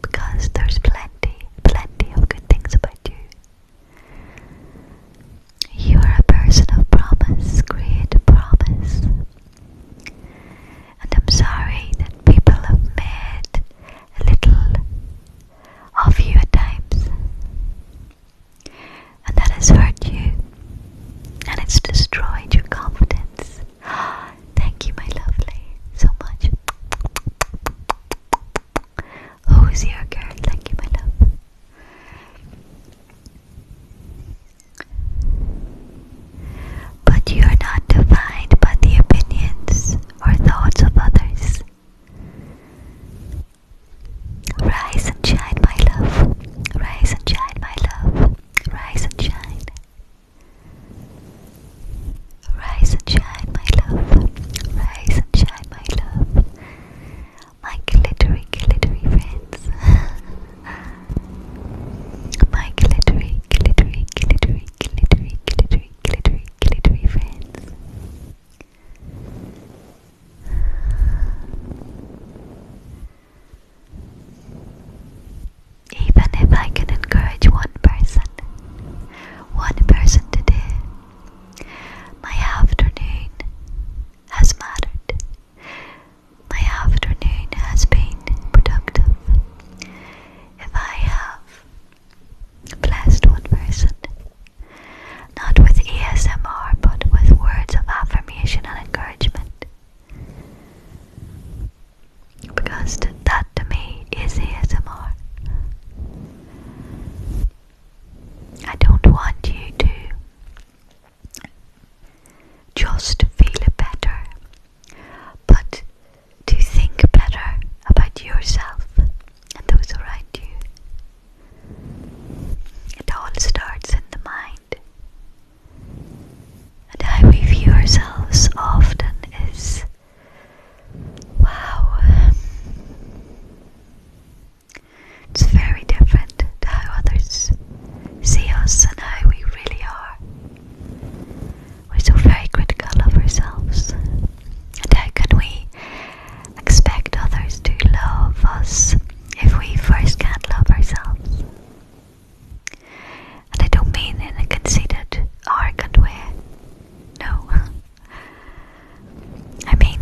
because there's plenty, plenty of good things about you. You are a person of promise, create a promise. And I'm sorry that people have made a little of you at times. And that has hurt you. And it's destroyed your confidence. Thank you, my lovely, so much. Who is your girl? Thank you, my love. But you are not defined by the opinions or thoughts of others. Rise and shine, my love. Rise and shine, my love. Rise and shine. Rise and shine, my love. Rise and shine, my love. My glittery, glittery friends. my glittery, glittery, glittery, glittery, glittery, glittery, glittery friends. Even if I can encourage one person, one person today, my afternoon has mattered. My afternoon has been productive. If I have blessed one person, not with ASMR but with words of affirmation and encouragement, because that to me is ASMR. I don't want you to just feel it better, but to think better about yourself and those around you. It all starts in the mind. And how we view ourselves often is wow. It's very different to how others see us and how we really are. We're so very critical of ourselves. And how can we expect others to love us if we first can't love ourselves? And I don't mean in a conceited, arrogant way. No. I mean,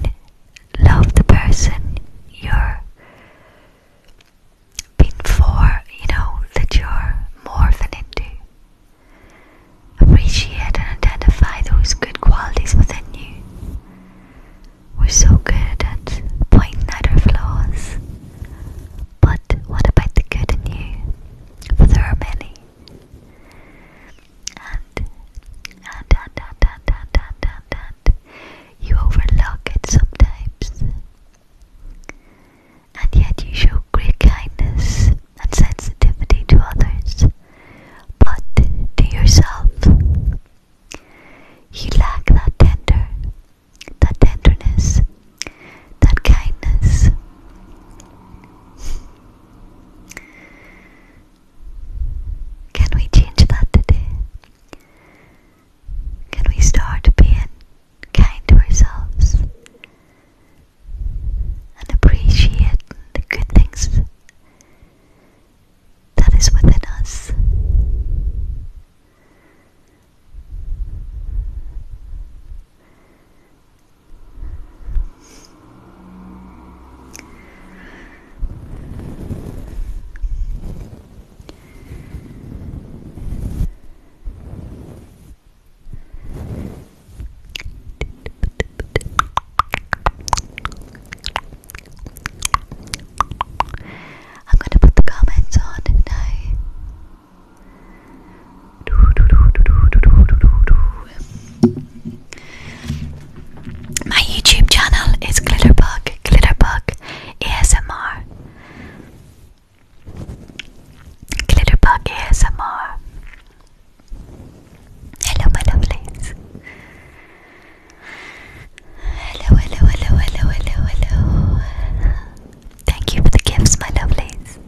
love the person you're been you know, that you're more than into. Appreciate and identify those good qualities within you. We're so good at pointing out our flaws, but what about the good in you? For there are many. And, and, and, and, and, and, and, and, you overlook it sometimes. And yet you show great kindness and sensitivity to others, but to yourself, you lack that tender, that tenderness, that kindness. Can we change that today? Can we start being kind to ourselves and appreciate the good things that is within us? I'm going to put the comments on tonight. My YouTube channel is Glitterbug, Glitterbug ESMR. Glitterbug ASMR. Hello, my lovelies. Hello, hello, hello, hello, hello, hello. Thank you for the gifts, my lovelies.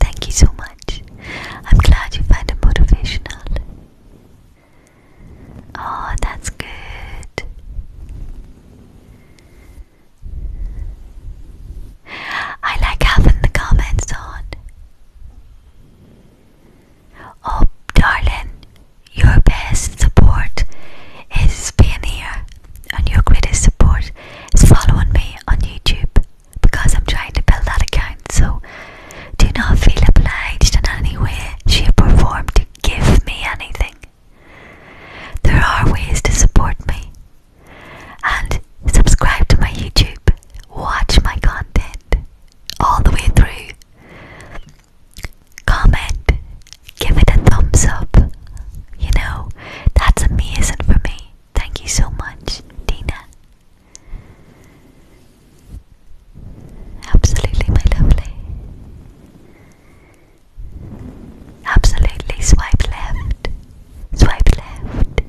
Thank you so much. I'm glad you find it motivational. Oh, that's good. I like having the comments on. Oh, darling, your best support is being here, and your greatest support is following me on YouTube because I'm trying to build that account, so do not feel obliged in any way, shape, or form to give me anything. There are ways to support me and subscribe to my YouTube, watch my content all the way through, comment, give it a thumbs up. You know, that's amazing for me. Thank you so much, Dina. Absolutely, my lovely. Absolutely, swipe left. Swipe left.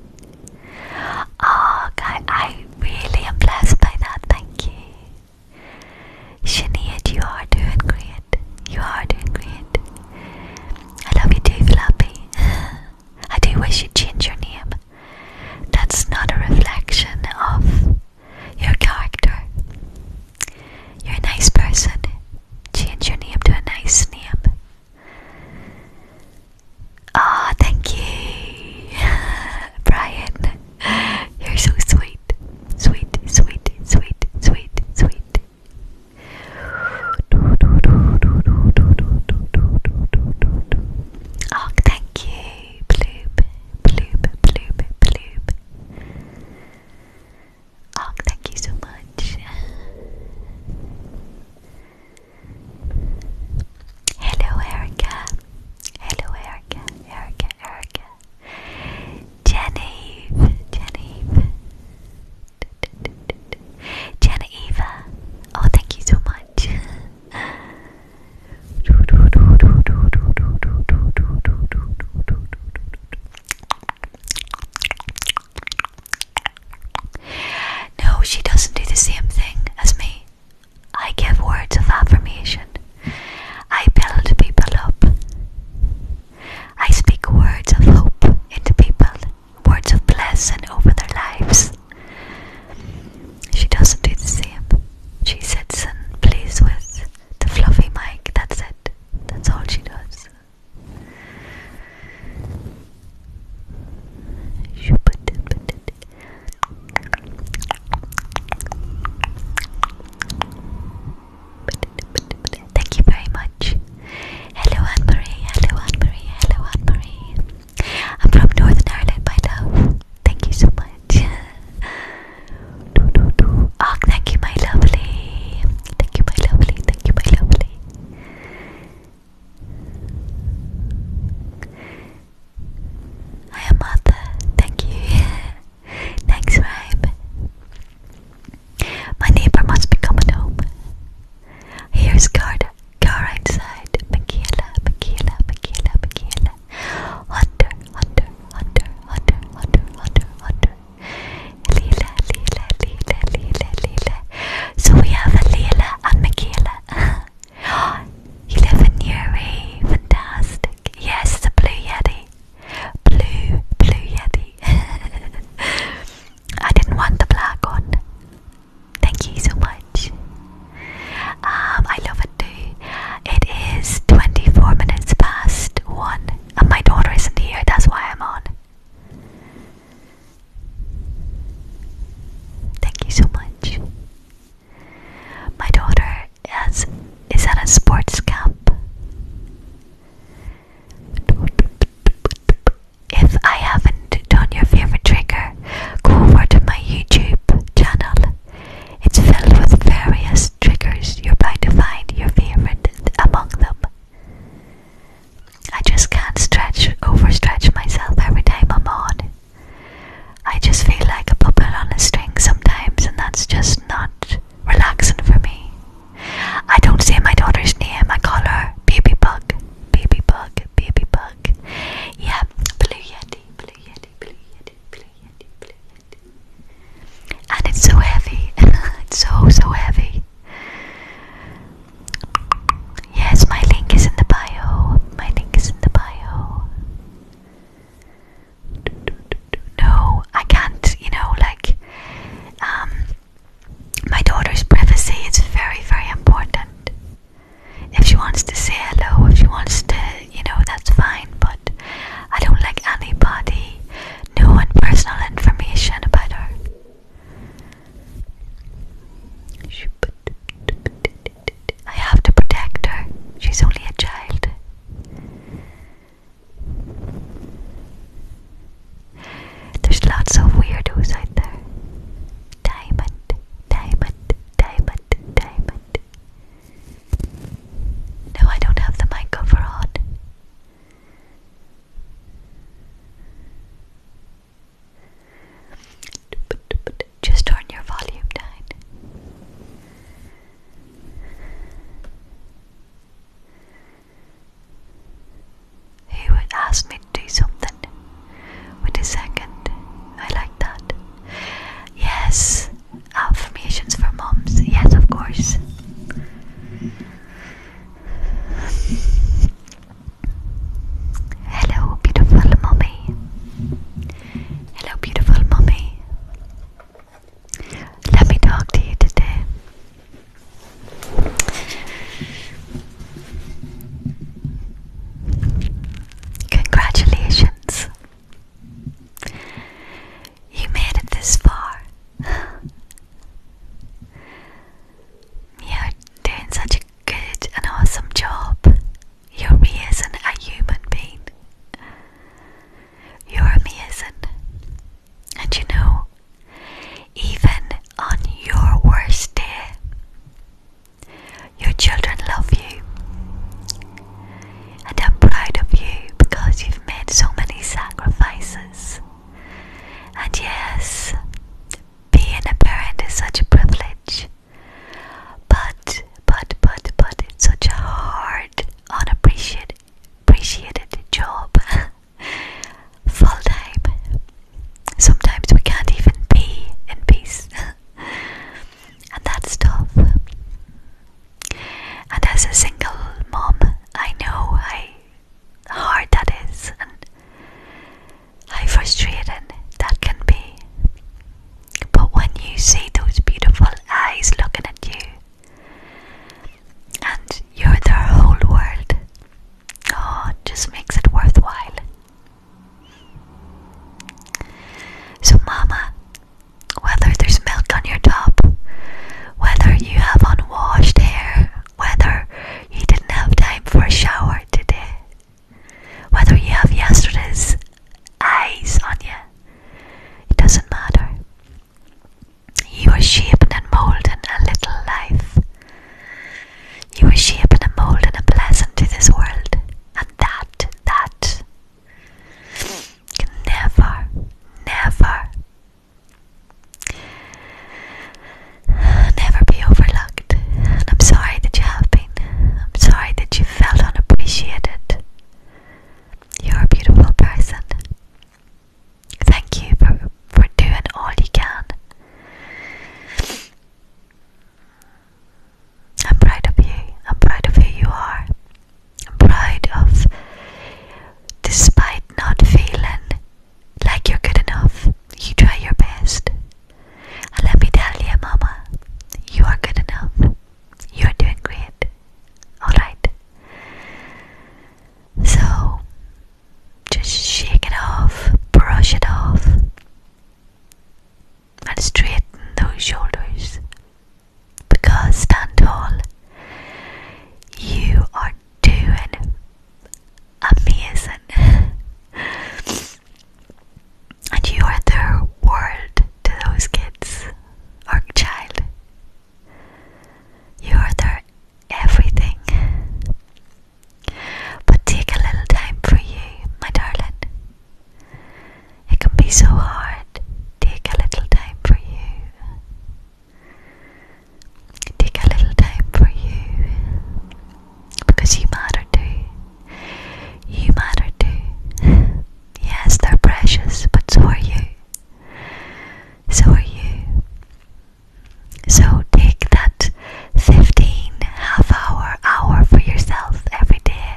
Oh, guy, I really am blessed by that. Thank you. Shania, you are doing great. You are doing great. I love you too, Flappy. I do wish you'd change your name. That's not a reflection of your character. You're a nice person. Change your name to a nice name. Ah, thank you, Brian. You're so sweet. Sweet, sweet, sweet, sweet, sweet. Oh, thank you. Bloop, bloop, bloop, bloop. Oh, thank you so much. Hello, Erica. Hello, Erica. Erica, Erica. Genevieve, Genevieve. Jenna Eva, oh thank you so much. No, she doesn't do the same thing as me. I give words of affirmation. I build people up. I speak words of hope into people words of blessing over their lives. She doesn't do the same. She sits and plays with the fluffy mic. That's it. That's all she does. Thank you very much. Hello, Anne Marie. Hello, Anne Marie. Hello, Anne Marie. I'm from Northern Ireland, my love. Thank you so much. do, do, do. Oh, thank you, my lovely. Thank you, my lovely. Thank you, my lovely. I am mother. Thank you. Thanks, Rhyme. My neighbor must be coming home. Here's Garda. Car outside. Michaela, Michaela, Michaela, Michaela. Hunter, Hunter, Hunter, Hunter, Hunter, Hunter, Hunter. Leela, Leela, Leela, Leela, Leela. So we have a Leela and Michaela. you live in Newry. Fantastic. Yes, the Blue Yeti. Blue, Blue Yeti. I didn't want the black one. Thank you so much. Um, I love it too. It is 24 minutes past one, and my daughter isn't here, that's why I'm on. Thank you so much. My daughter is, is at a sports camp. If I haven't done your favorite trigger, go over to my YouTube channel. It's filled with various triggers. You're bound to find your favorite among them. I just can't stretch, overstretch myself every time I'm on. I just feel like a puppet on a string sometimes, and that's just not relaxing for me. I don't say my daughter's name, I call her Baby Bug baby bug, baby bug. Yeah, blue yeti, blue yeti, blue yeti, blue yeti, blue yeti. And it's so heavy. it's so so heavy. Yes, my link is in the bio. My link is in the bio. No, I can't, you know, like um my daughter's privacy is very, very important. If she wants to say hello, if she wants to, you know, that's fine, but I don't like anybody knowing personal information about her. I have to protect her. She's only a child. There's lots of weirdos out there. Diamond, diamond, diamond, diamond. No, I don't have the mic cover on. Just turn your volume down. He would ask me to do something with a second. I like that. Yes, affirmations for moms. Yes, of course. Hello, beautiful mommy. Hello, beautiful mommy. Let me talk to you today. Congratulations. You made it this far. You're doing such a good and awesome job. Your me isn't a human being. Your me isn't, And you know, even on your worst day, your children love you. And I'm proud of you because you've made so many sacrifices. And yes, being a parent is such a privilege. But, but, but, but, it's such a hard, unappreciated job. Full time, Sometimes we can't even be in peace. and that's tough. And as a single mom, I know how hard that is and how frustrating that can be. But when you see those beautiful eyes looking at you, and you're their whole world, oh, it just makes it worthwhile. So, Mama, whether there's milk on your top, whether you have unwashed hair, whether you didn't have time for a shower today, whether you have yesterday's eyes on you, it doesn't matter. You are shaped and molded a little life you are shaping a mold and a blessing to this world, and that, that can never, never, never be overlooked. And I'm sorry that you have been. I'm sorry that you felt unappreciated. You're a beautiful person. Thank you for, for doing all you can. I'm proud of you. I'm proud of who you are. I'm proud of, despite not feeling like you're good enough, you try your best. And let me tell you, Mama, you are good enough. You're doing great. Alright. So, just shake it off, brush it off, and straighten those shoulders. Because stand tall, you are doing amazing. and you are the world to those kids our child. You are their everything. But take a little time for you, my darling. It can be so hard. Take a little time for you. Take a little time for you. Because you matter too. You matter too. yes, they're precious, but so are you. So are you. So take that 15 half hour, hour for yourself every day.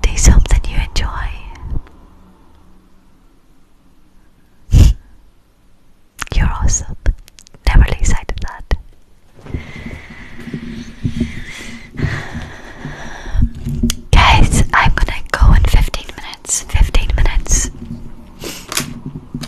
Do something you enjoy. You're awesome. Never lose sight of that. Guys, I'm gonna go in 15 minutes. 15 minutes.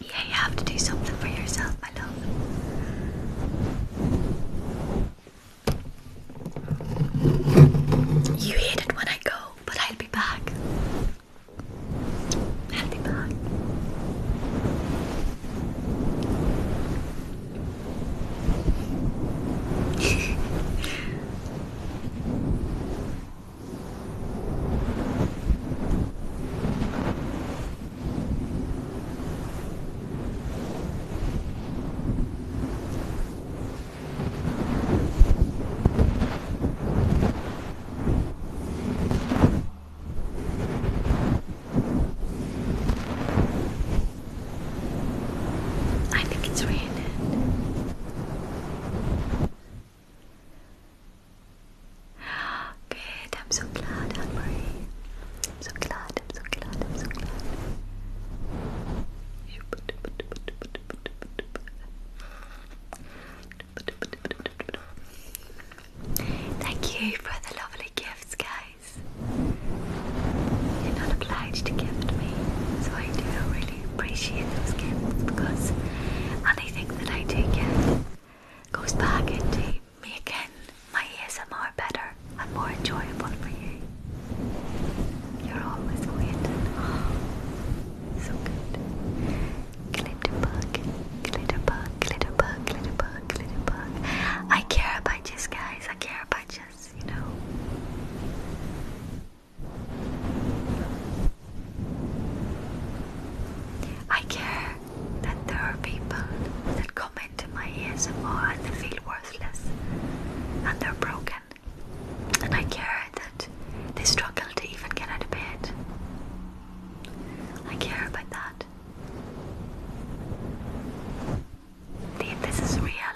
Yeah, you have to do something for yourself, my love. You hate it when I go, but I'll be back. I'll be back. I think it's raining. Good, I'm so glad, I'm so glad, I'm so glad, I'm so glad. Thank you for the lovely gifts, guys. You're not obliged to gift me, so I do really appreciate those gifts because, and anything that I take in goes back into making my ASMR better and more enjoyable for you. You're always waiting. Oh, so good. Glitterbug, glitterbug, glitterbug, glitterbug, glitterbug. I care about you guys. I care about you, you know. I care that there are people that come into my ASMR and they feel worthless and they're broken. And I care that they struggle to even get out of bed. I care about that. This is real.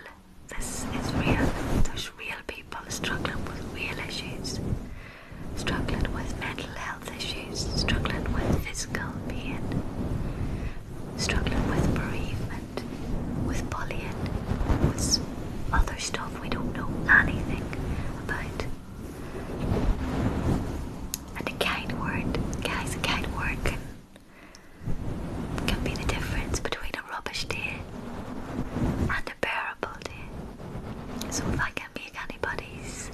This is real. There's real people struggling with real issues struggling with mental health issues, struggling with physical pain, struggling with bereavement, with bullying, with other stuff we don't know anything about. And a kind word, guys, a kind word can, be the difference between a rubbish day and a bearable day. So if I can make anybody's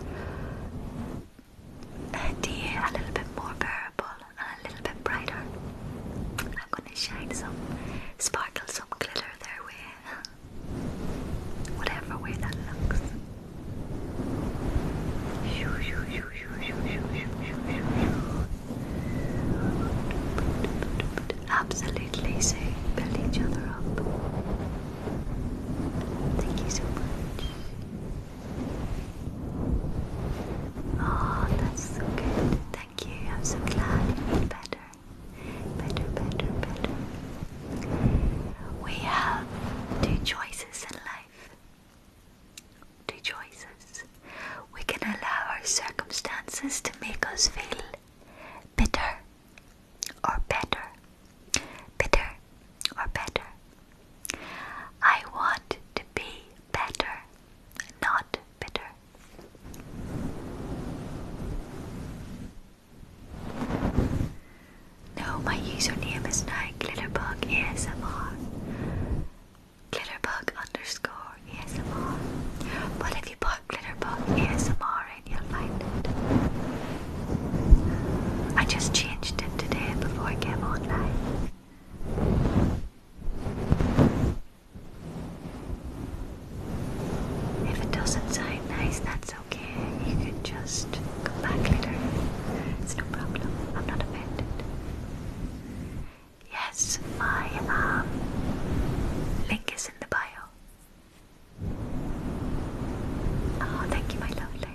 day a little bit more bearable and a little bit brighter. I'm going to shine some sparkle, some glitter there with whatever way that looks. Absolutely, so build each other up. Thank you so much. Oh, that's so good. Thank you. I'm so glad you feel better. Better, better, better. We have two choices in life. Two choices. We can allow our circumstances to make us feel bitter or better, bitter or better. I want to be better, not bitter. No, my username is now Glitterbug ASMR. Glitterbug underscore ASMR. But if you put Glitterbug ASMR I just changed it today before I came on live. If it doesn't sound nice, that's okay. You can just come back later. It's no problem. I'm not offended. Yes, my um, link is in the bio. Oh, thank you, my lovely.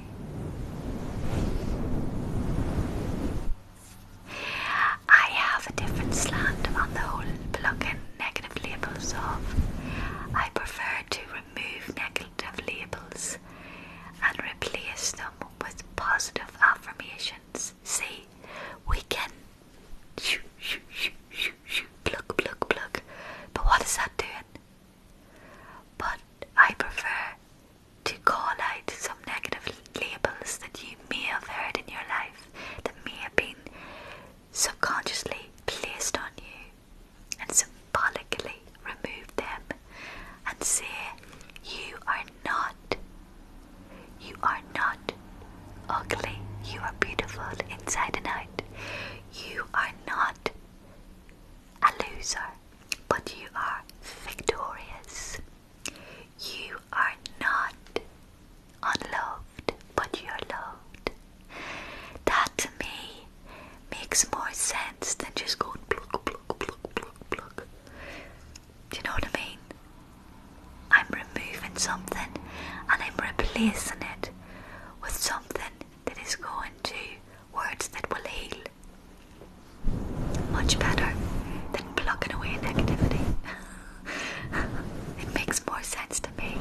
I have a different slant on the whole plugin negative labels off. I prefer to remove negative labels and replace them with positive affirmations. See, we can shoo, shoo, pluck, But what is that doing? But I prefer to call out some negative labels that you may have heard in your life that may have been subconsciously placed on you and symbolically remove them and say, You are not, you are not ugly, you are beautiful inside and out. You are are not a loser, but you are victorious. You are not unloved, but you're loved. That to me makes more sense than just going plug, plug, plug, plug, plug. Do you know what I mean? I'm removing something and I'm replacing it with something that is going to words that will heal. Much better than plucking away negativity. it makes more sense to me.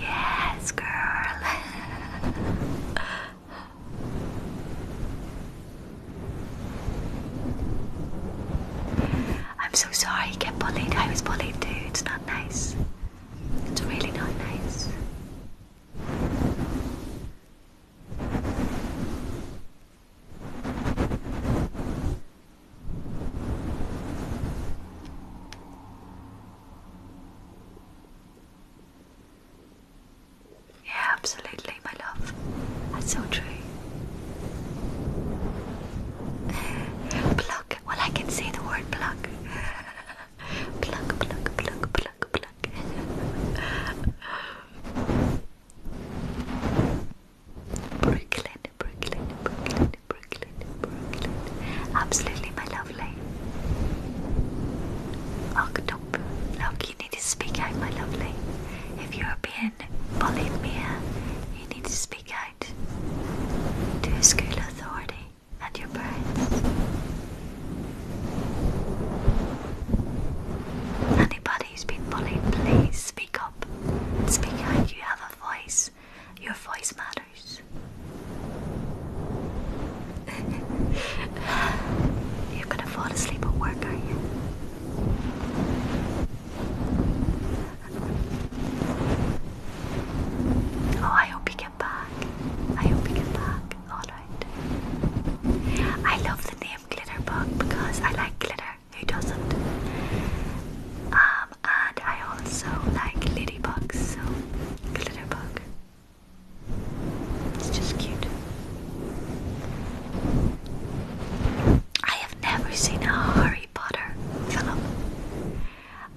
Yes, girl. I'm so sorry you get bullied. I was bullied too. It's not nice. It's really not nice. Yeah, absolutely, my love. That's so true. Pluck, well, I can say the word pluck. pluck, pluck, pluck, pluck, pluck. Brooklyn, Brooklyn, Brooklyn, Brooklyn, Brooklyn. Absolutely, my lovely. October. Look, you need to speak out, my lovely. If you're being bullied, Mia, you need to speak speak out to school authority and your parents. Anybody who's been bullied, please speak up speak out. You have a voice, your voice matters. You're gonna fall asleep at work, are you? Oh, I hope you get back. I hope you get back. Alright. I love the name Glitterbug because I like glitter. Who doesn't? Um, and I also like ladybugs, so Glitterbug. It's just cute. I have never seen a Harry Potter film.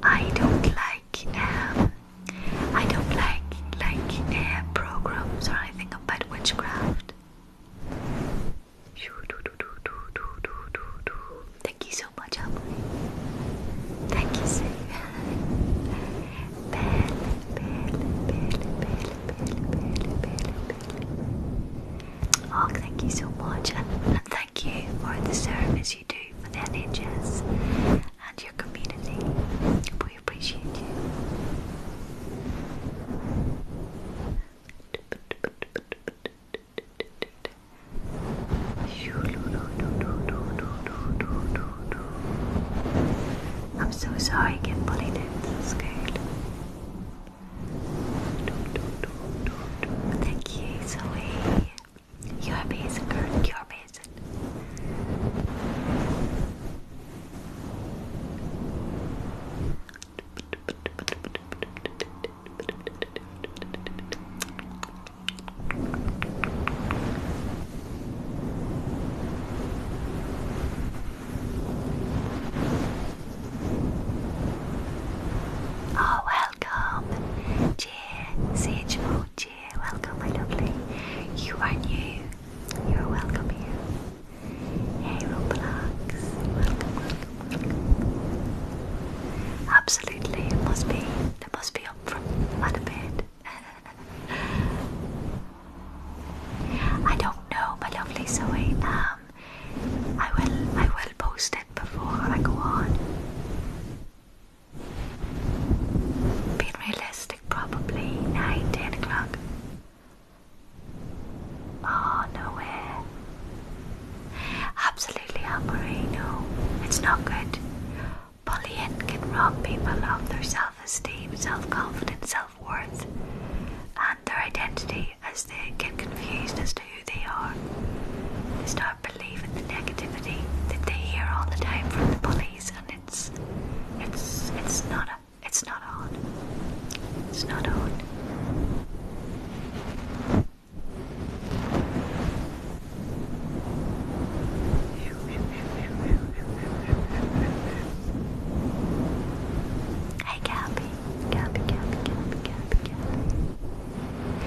I don't like um, I don't like like uh, programs or anything about witchcraft. Thank you so much, Emily. Thank you, Sue. Belle, belle, belle, belle, belle, belle, belle, belle. Oh, thank you so much, and, and thank you for the service you do for the NHS and your community. We appreciate you. I'm so sorry again, Polly That's good. Thank you, Zoe. You're amazing, girl. You're amazing. Oh, welcome CH oh Moji, welcome my lovely. You are new. You're welcome here. Hey Roblox, welcome, Absolutely, it must be. It must be up from out of bed. I don't know, my lovely Zoe. Um, I will, I will post it before I go on. Being realistic, probably 9, 10 o'clock. Oh, no nowhere. Absolutely, El Moreno. It's not good. Bullying can rob people of their self esteem, self confidence, self worth, and their identity as they get confused as who they are. They start believing the negativity that they hear all the time from the bullies, and it's it's it's not a, it's not on. It's not on. Hey Gabby, Gabby, Gabby, Gabby, Gabby,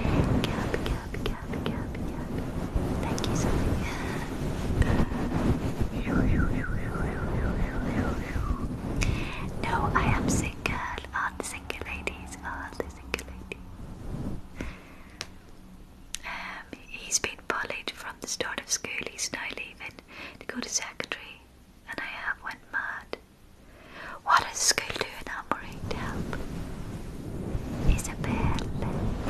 Gabby, Gabby, Gabby, Thank you, Sophie. No, I am single. All the single ladies. All the single ladies. Um, he's been bullied from the start of school. He's now leaving to go to secondary, and I have went mad. What does school do in Armory to help? Isabel,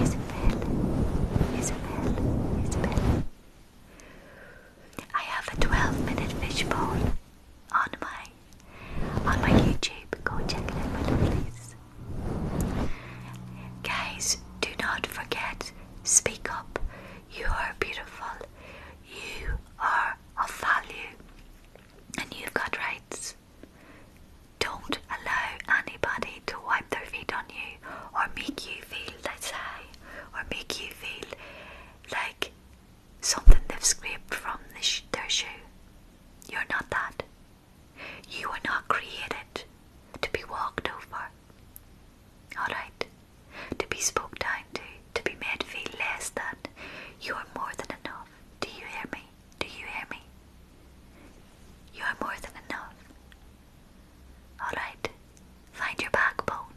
Isabel, Isabel, Isabel. I have a 12 minute fishbowl on my on my YouTube. Go check it out, my lovelies. Guys, do not forget, speak up. You are beautiful. You are of value. And you've got rights. Don't allow anybody to wipe their feet on you or make you feel that's high or make you feel like something they've scraped from their shoe. You're not that. You were not created to be walked over. Alright? To be spoke down to, to be made feel less than. You are more than enough. Do you hear me? Do you hear me? You are more than enough. Alright, find your backbone.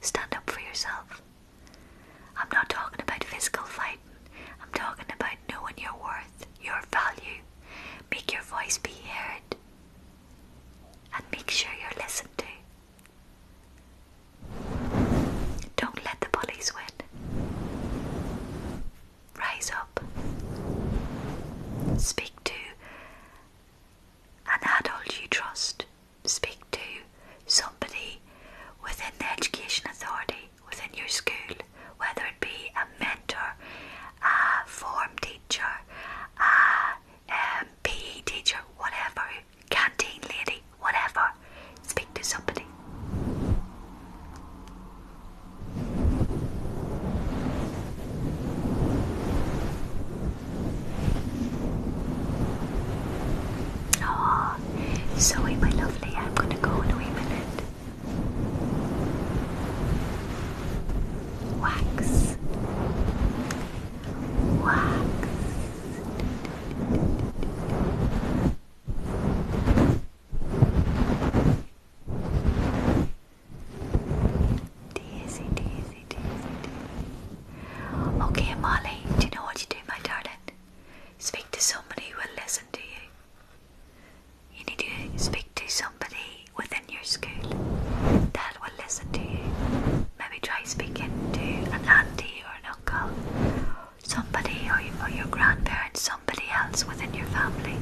Stand up for yourself. I'm not talking about physical fighting, I'm talking about knowing your worth, your value. Make your voice be heard. And make sure you're listened to. Don't let the bullies win. Raise up. Speak to an adult you trust. Speak to somebody within the education authority, within your school, whether it be a mentor, a form teacher, a um, PE teacher, whatever, canteen lady, whatever. Speak to somebody. Oh, Zoe, my lovely, I'm gonna go in a minute. Wax, wax. Daisy, Daisy, Daisy, Daisy. Okay, Molly, do you know what you do, my darling? Speak to somebody who will listen to you. You need to speak to somebody within your school that will listen to you. Maybe try speaking to an auntie or an uncle somebody or, your grandparents, somebody else within your family,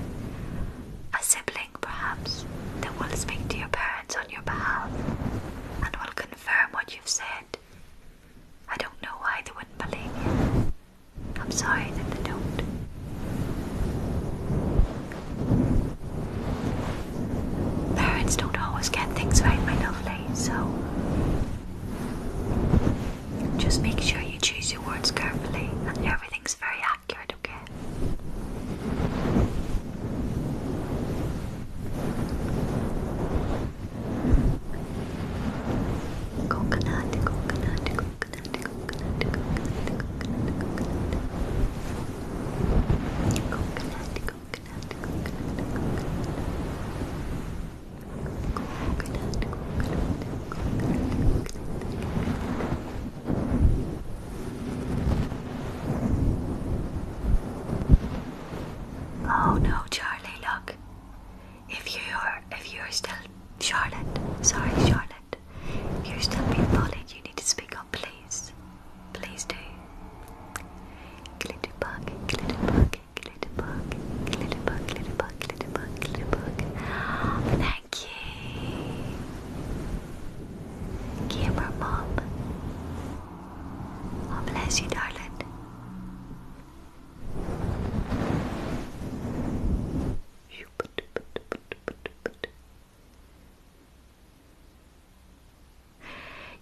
a sibling perhaps, that will speak to your parents on your behalf and will confirm what you've said. I don't know why they wouldn't believe you. I'm sorry that they don't. Parents don't always get things right, my lovely, so just make sure you choose your words carefully and everything's very accurate, okay? Oh no, Charlie, look. If you're if you're still Charlotte, sorry Charlotte, if you're still being bullied, you need to speak up, please. Please do. Glitter bug, glitter bug, Glitterbug, Glitterbug, Glitterbug, Glitterbug, Glitterbug. Thank you. Gamer Mom. Oh, bless you, darling.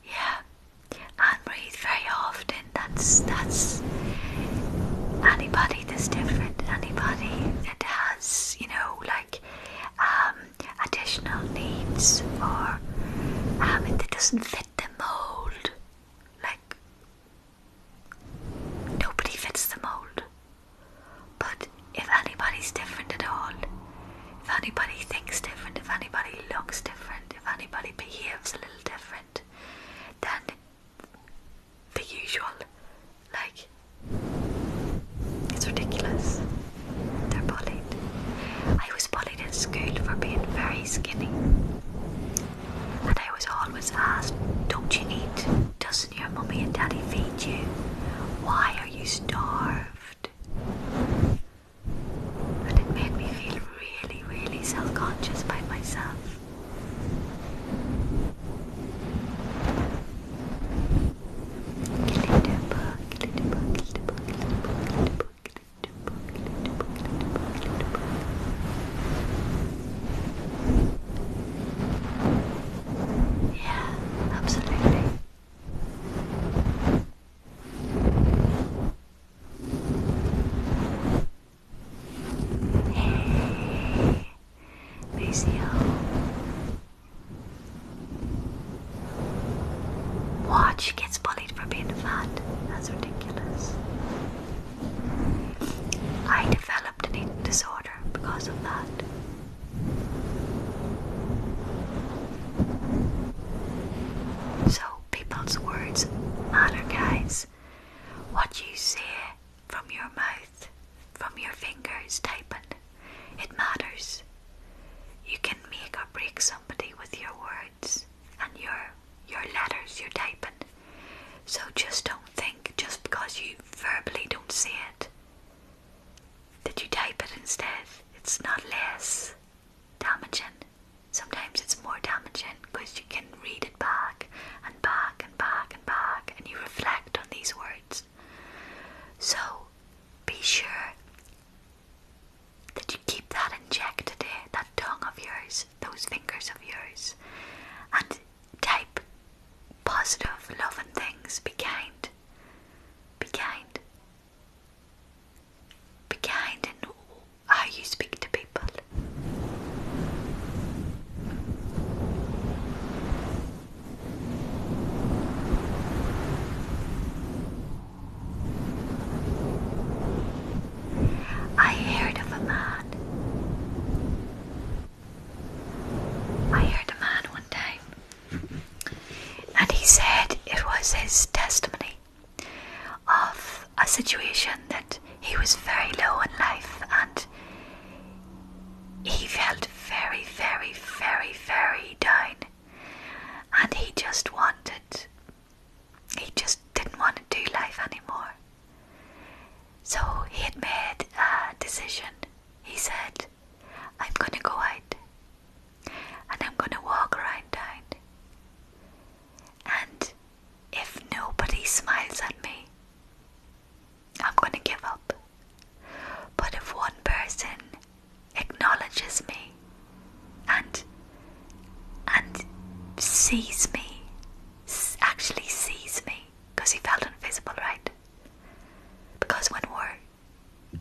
Yeah, and breathe very often that's that's anybody that's different. Anybody that has, you know, like um, additional needs or um, it doesn't fit the mold. Like nobody fits the mold. But if anybody's different at all, if anybody thinks different, if anybody looks different, if anybody behaves a little different, then the usual. Like, it's ridiculous. They're bullied. I was bullied in school for being very skinny. And I was always asked, Don't you eat? Doesn't your mummy and daddy feed you? Why are you starved? And it made me feel really, really self conscious by myself. Yeah, absolutely. Hey, Maceo. Watch gets bullied for being fat. That's ridiculous. I developed an eating disorder because of that. So people's words matter, guys what you say from your mouth, from your fingers typing. It matters. You can make or break somebody with your words and your your letters you're typing. So just don't think just because you verbally don't say it that you type it instead. It's not less damaging. Sometimes it's more damaging because you can read it back and back and back and back and you reflect on these words. So be sure that you keep that injected in, that tongue of yours, those fingers of yours, and type positive, loving things. Be kind. Be kind. Be kind in how ah, you speak to people. I heard of a man. I heard a man one time, and he said it was his testimony of a situation that he was very low in life and he felt very, very, very, very down. And he just wanted, he just didn't want to do life anymore. So he had made a decision. He said, I'm going to go out and I'm going to walk around And if nobody smiles at me, I'm gonna give up. But if one person acknowledges me and and sees me, actually sees me, because he felt invisible, right? Because when we're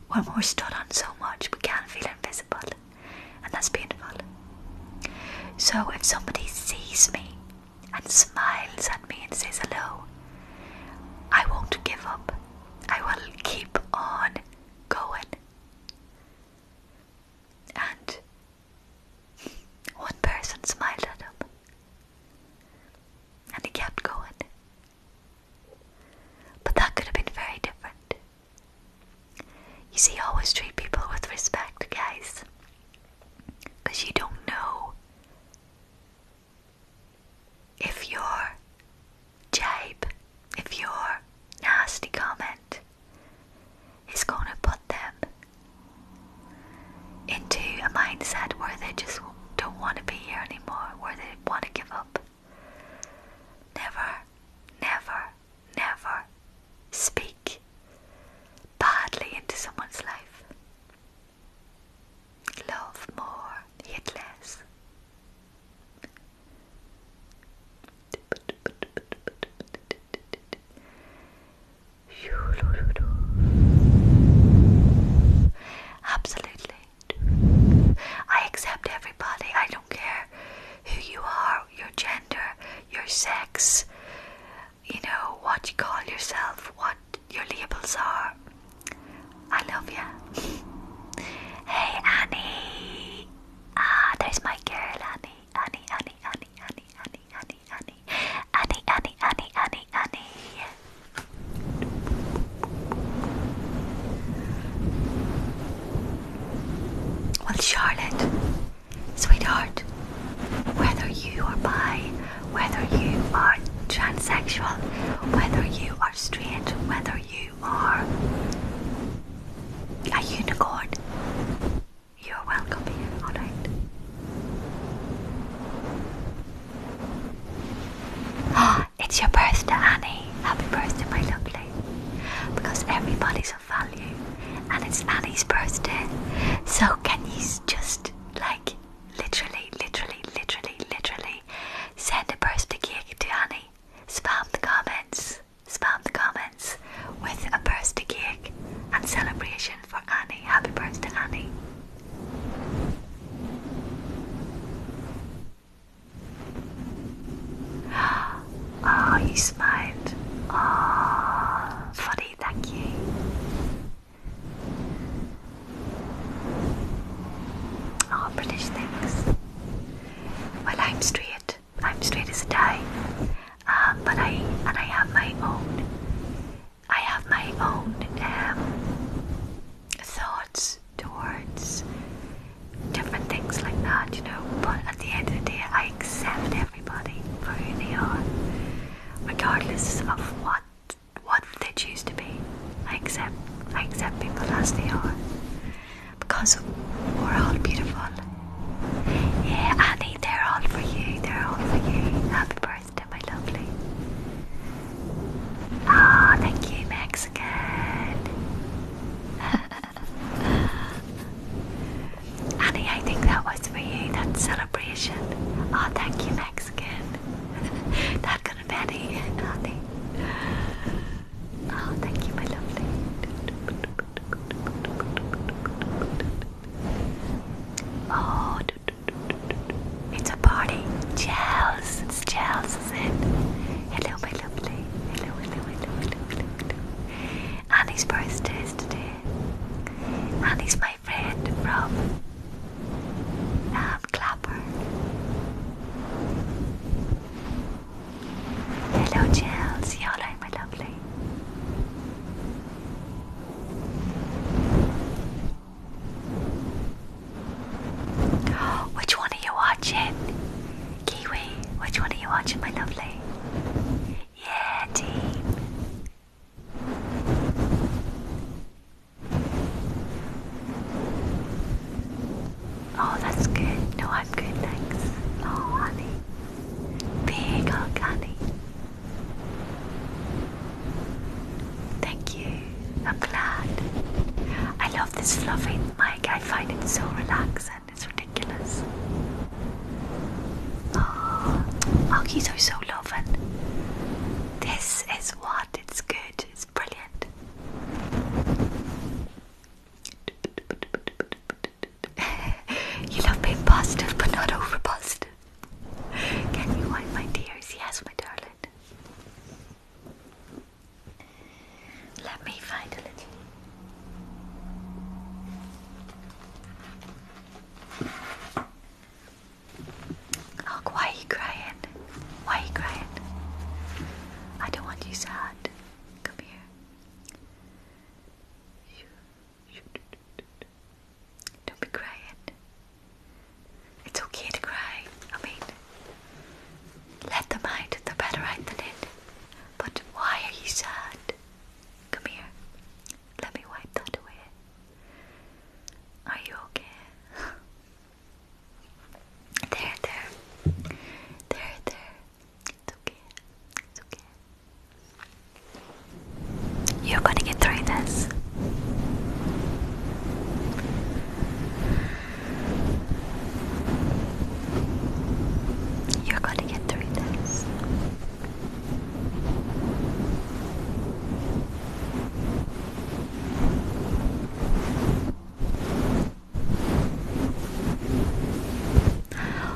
when we're stood on so much, we can feel invisible, and that's painful. So if somebody sees me and smiles at me and says hello. I won't give up. I will keep on going. And one person smiled at him. And he kept going. But that could have been very different. You see, always treat people with respect, guys. Because you don't know if your jibe, if your nasty comment is going to put them into a mindset where they just don't want to be here anymore, where they want to give up. Never, never, never, speak badly into someone's life. Love more, hate less. Absolutely. I accept everybody. I don't care who you are, your gender, your sex, you know what you call yourself, what your labels are. I love you. hey, Annie. Ah, there's my girl, Annie. Annie, Annie, Annie, Annie, Annie, Annie, Annie, Annie, Annie, Annie, Annie, Annie. Well, Charlotte, Sweetheart, whether you are bi, whether you are transsexual, whether you are straight, whether you are a unicorn, you're welcome here, alright? Ah, it's your birthday, Annie. Happy birthday, my lovely. Because everybody's of value and it's Annie's birthday. So, can you just like literally, literally, literally, literally send a birthday cake to Honey. Spam the comments. Spam the comments with a birthday cake and celebration for Annie. Happy birthday, Annie. Oh, you smiled. Oh, funny thank you. Oh, British things. Well, I'm straight. I'm straight as a die. Um, but I and I have my own. I have my own um, thoughts towards different things like that, you know. But at the end of the day, I accept it everybody for who they are, regardless of what what they choose to be. I accept I accept people as they are. Because we're all beautiful. Yeah, Annie, they're all for you, they're all for you. Happy birthday, my lovely. oh, thank you, Mexican. Annie, I think that was for you, that celebration. Oh, thank you, Mexican. that could have been Annie. Oh, thank you, my lovely. Oh, it's a party. Gels, it's gels, Hello, my lovely. Hello, hello, hello, hello, hello. Annie's birthday today. Annie's my friend from um, Clapper. Hello, Chelsea. How are my lovely? Which one are you watching? Kiwi, which one are you watching, my lovely? Yeah, team. Oh, that's good. No, I'm good, thanks. Oh, honey. Big hug, honey. Thank you. I'm glad. I love this fluffy mic. I find it so relaxing. It's ridiculous. Oh, Aokis are so loving. This is what it's good, it's brilliant. you love being positive but not over positive. Can you wipe my tears? Yes, my darling. Let me find a little. Look, oh, why are you crying? Why are you crying? I don't want you sad. Come here. Don't be crying. It's okay to cry. I mean, let them out, they're better out than in. But why are you sad? Come here. Let me wipe that away. Are you okay? there, there. There, there. It's okay. It's okay. You're gonna get through this. You're gonna get through this.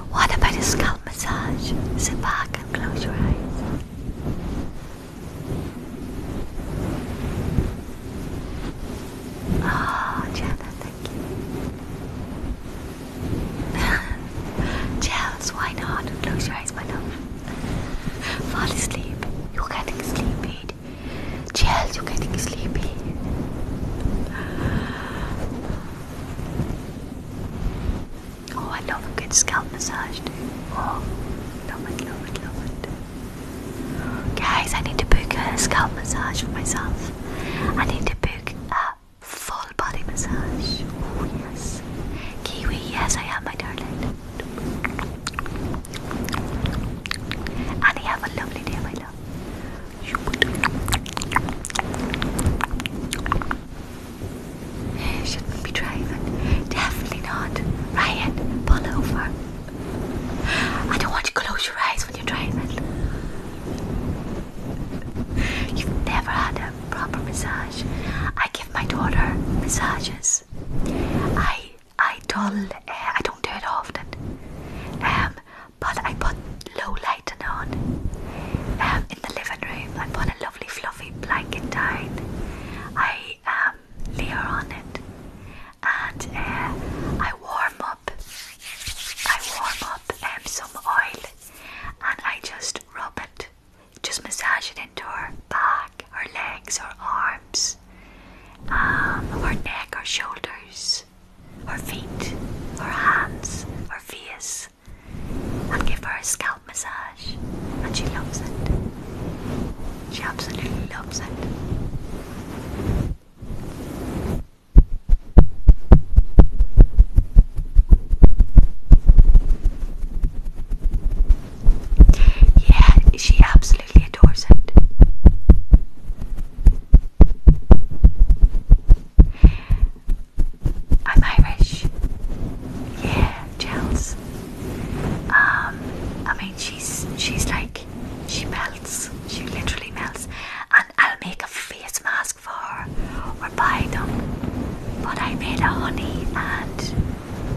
What about a scalp massage? Sit back and close your eyes. Oh, Jenna, thank you. Gels, why not? Close your eyes, my love. Fall asleep. You're getting sleepy. Gels, you're getting sleepy. Oh, I love a good scalp massage too. Oh, love it, love it, love it. Guys, I need to book a scalp massage for myself. I need to book Full body massage. Oh, yes. Kiwi, yes, I am, my darling. And have a lovely day, my love. You eh, Shouldn't be driving. Definitely not. Ryan, pull over. I don't want you to close your eyes when you're driving. You've never had a proper massage. I give my daughter massages. I I don't eh, I don't do it often, um, but I put low lighting on um, in the living room. I put a lovely fluffy blanket down. I um, on it, and eh, I warm up. I warm up um, some oil, and I just rub it just massage it into her back, her legs, her arms, um, her neck, her shoulders, her feet, her hands, her face, and give her a scalp massage. And she loves it. She absolutely loves it. Yeah, she absolutely adores it. I'm Irish. Yeah, Chels. Um, I mean, she's she's like she melts. She literally melts. And I'll make a face mask for her or buy them. But I made a honey and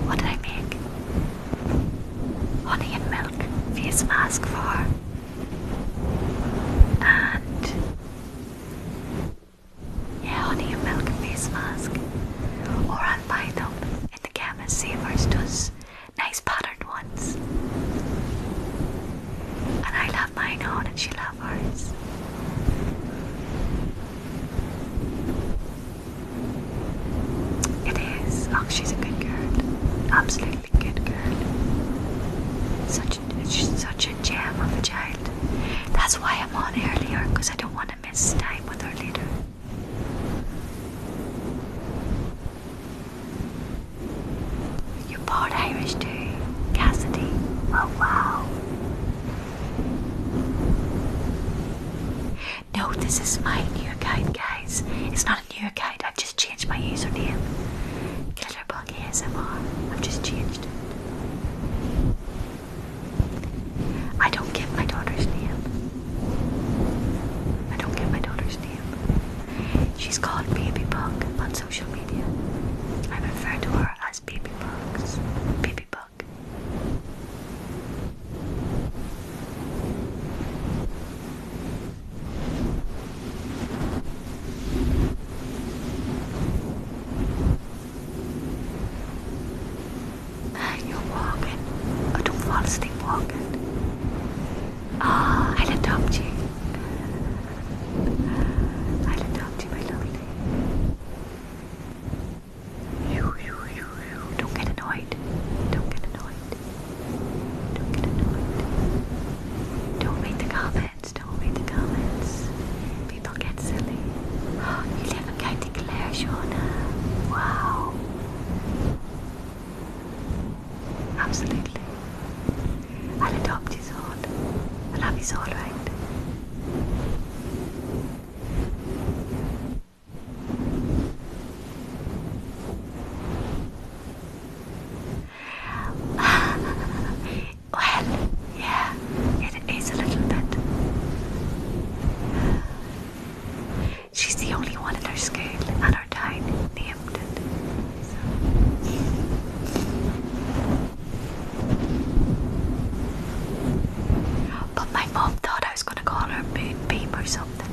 what did I make? Honey and milk face mask for And yeah, honey and milk face mask. Or I'll buy them in the chemist savers does nice patterned ones. And I love mine on and she loves ours. It is. Oh, she's a good girl. Absolutely good girl. Such a, she's such a gem of a child. That's why I'm on earlier, because I don't want to miss time with her later. You're part Irish too, Cassidy. Oh wow. No, this is my new account, guys. It's not a new account, I've just changed my username. Glitterbug ASMR. I've just changed it. I don't give my daughter's name. I don't give my daughter's name. She's called Baby Bug on social media. I refer to her as Baby Bugs. Baby Bug block. Ah, you're walking, och du falskt walking. Ah, I loved you. I loved you, my lovely. Don't get annoyed. Don't get annoyed. Don't get read the comments. Don't read the comments. People get silly. you live in County Clare, Shauna. Wow. Absolutely. I'll adopt his heart. I love you all right. well, yeah, it is a little bit. She's the only one in her school and her time named it. But my mom thought I was gonna call her Babe, babe or something.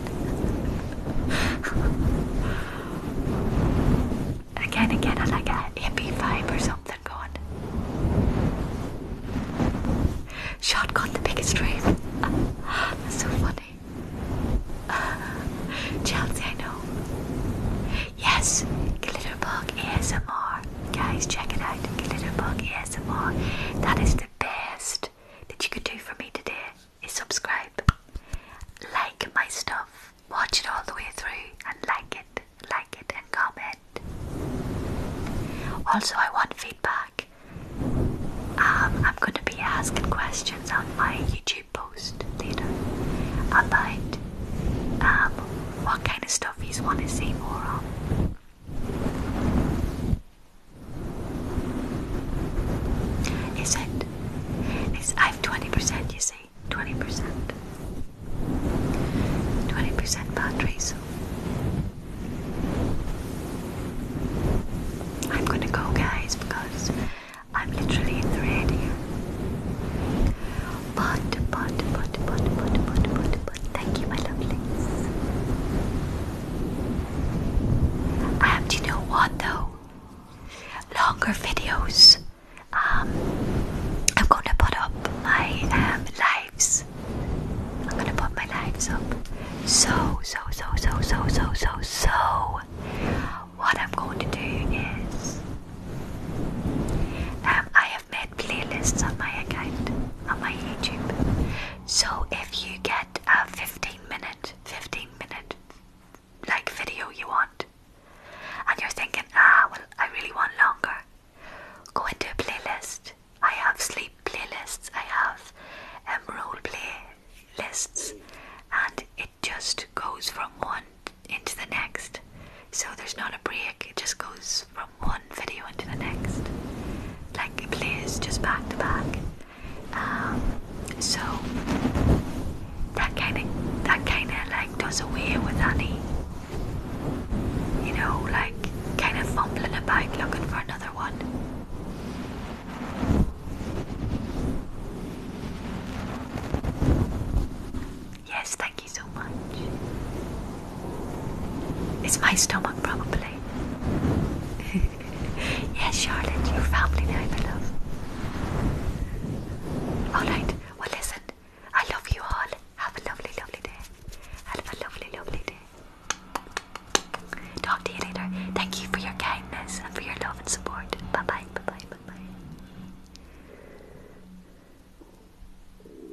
again, again, and like a MP5 or something going. Shot got the biggest dream. so funny. Chelsea, I know. Yes, Glitterbug ASMR. Guys, check it out. Glitterbug ASMR. That is the best that you could do for me today is subscribe. Like my stuff. Watch it all the way through and like it. Like it and comment. Also I want feedback. Um, I'm gonna be asking questions on my YouTube post later about um, what kind of stuff you want to see more of. Is it? Is I have twenty percent. You see, twenty percent, twenty percent battery. So I'm gonna go, guys, because I'm literally in the red here. But, but, but, but, but, but, but, but, thank you, my lovelies. Um, do you know what though? Longer videos. Um, I'm gonna put up my um, lives. I'm gonna put my lives up. So, so, so, so, so, so, so, so. What I'm going to do is, um, I have made playlists on my account, on my YouTube. So if you get a 15 minute, 15 minute like video you want, and you're thinking, ah, well, I really want longer, go into a playlist. I have sleep playlists, I have um, role playlists, and it just goes from one into the next. So there's not a break, it just goes from one video into the next. Like it plays just back to back. Um, so that kind of that kind of like does away with any, you know, like kind of fumbling about looking for another one. Yes, thank you. Thank you so much. It's my stomach, probably. yes, Charlotte, your family now, my love. Alright, well, listen, I love you all. Have a lovely, lovely day. Have a lovely, lovely day. Talk to you later. Thank you for your kindness and for your love and support. Bye bye, bye bye, bye bye.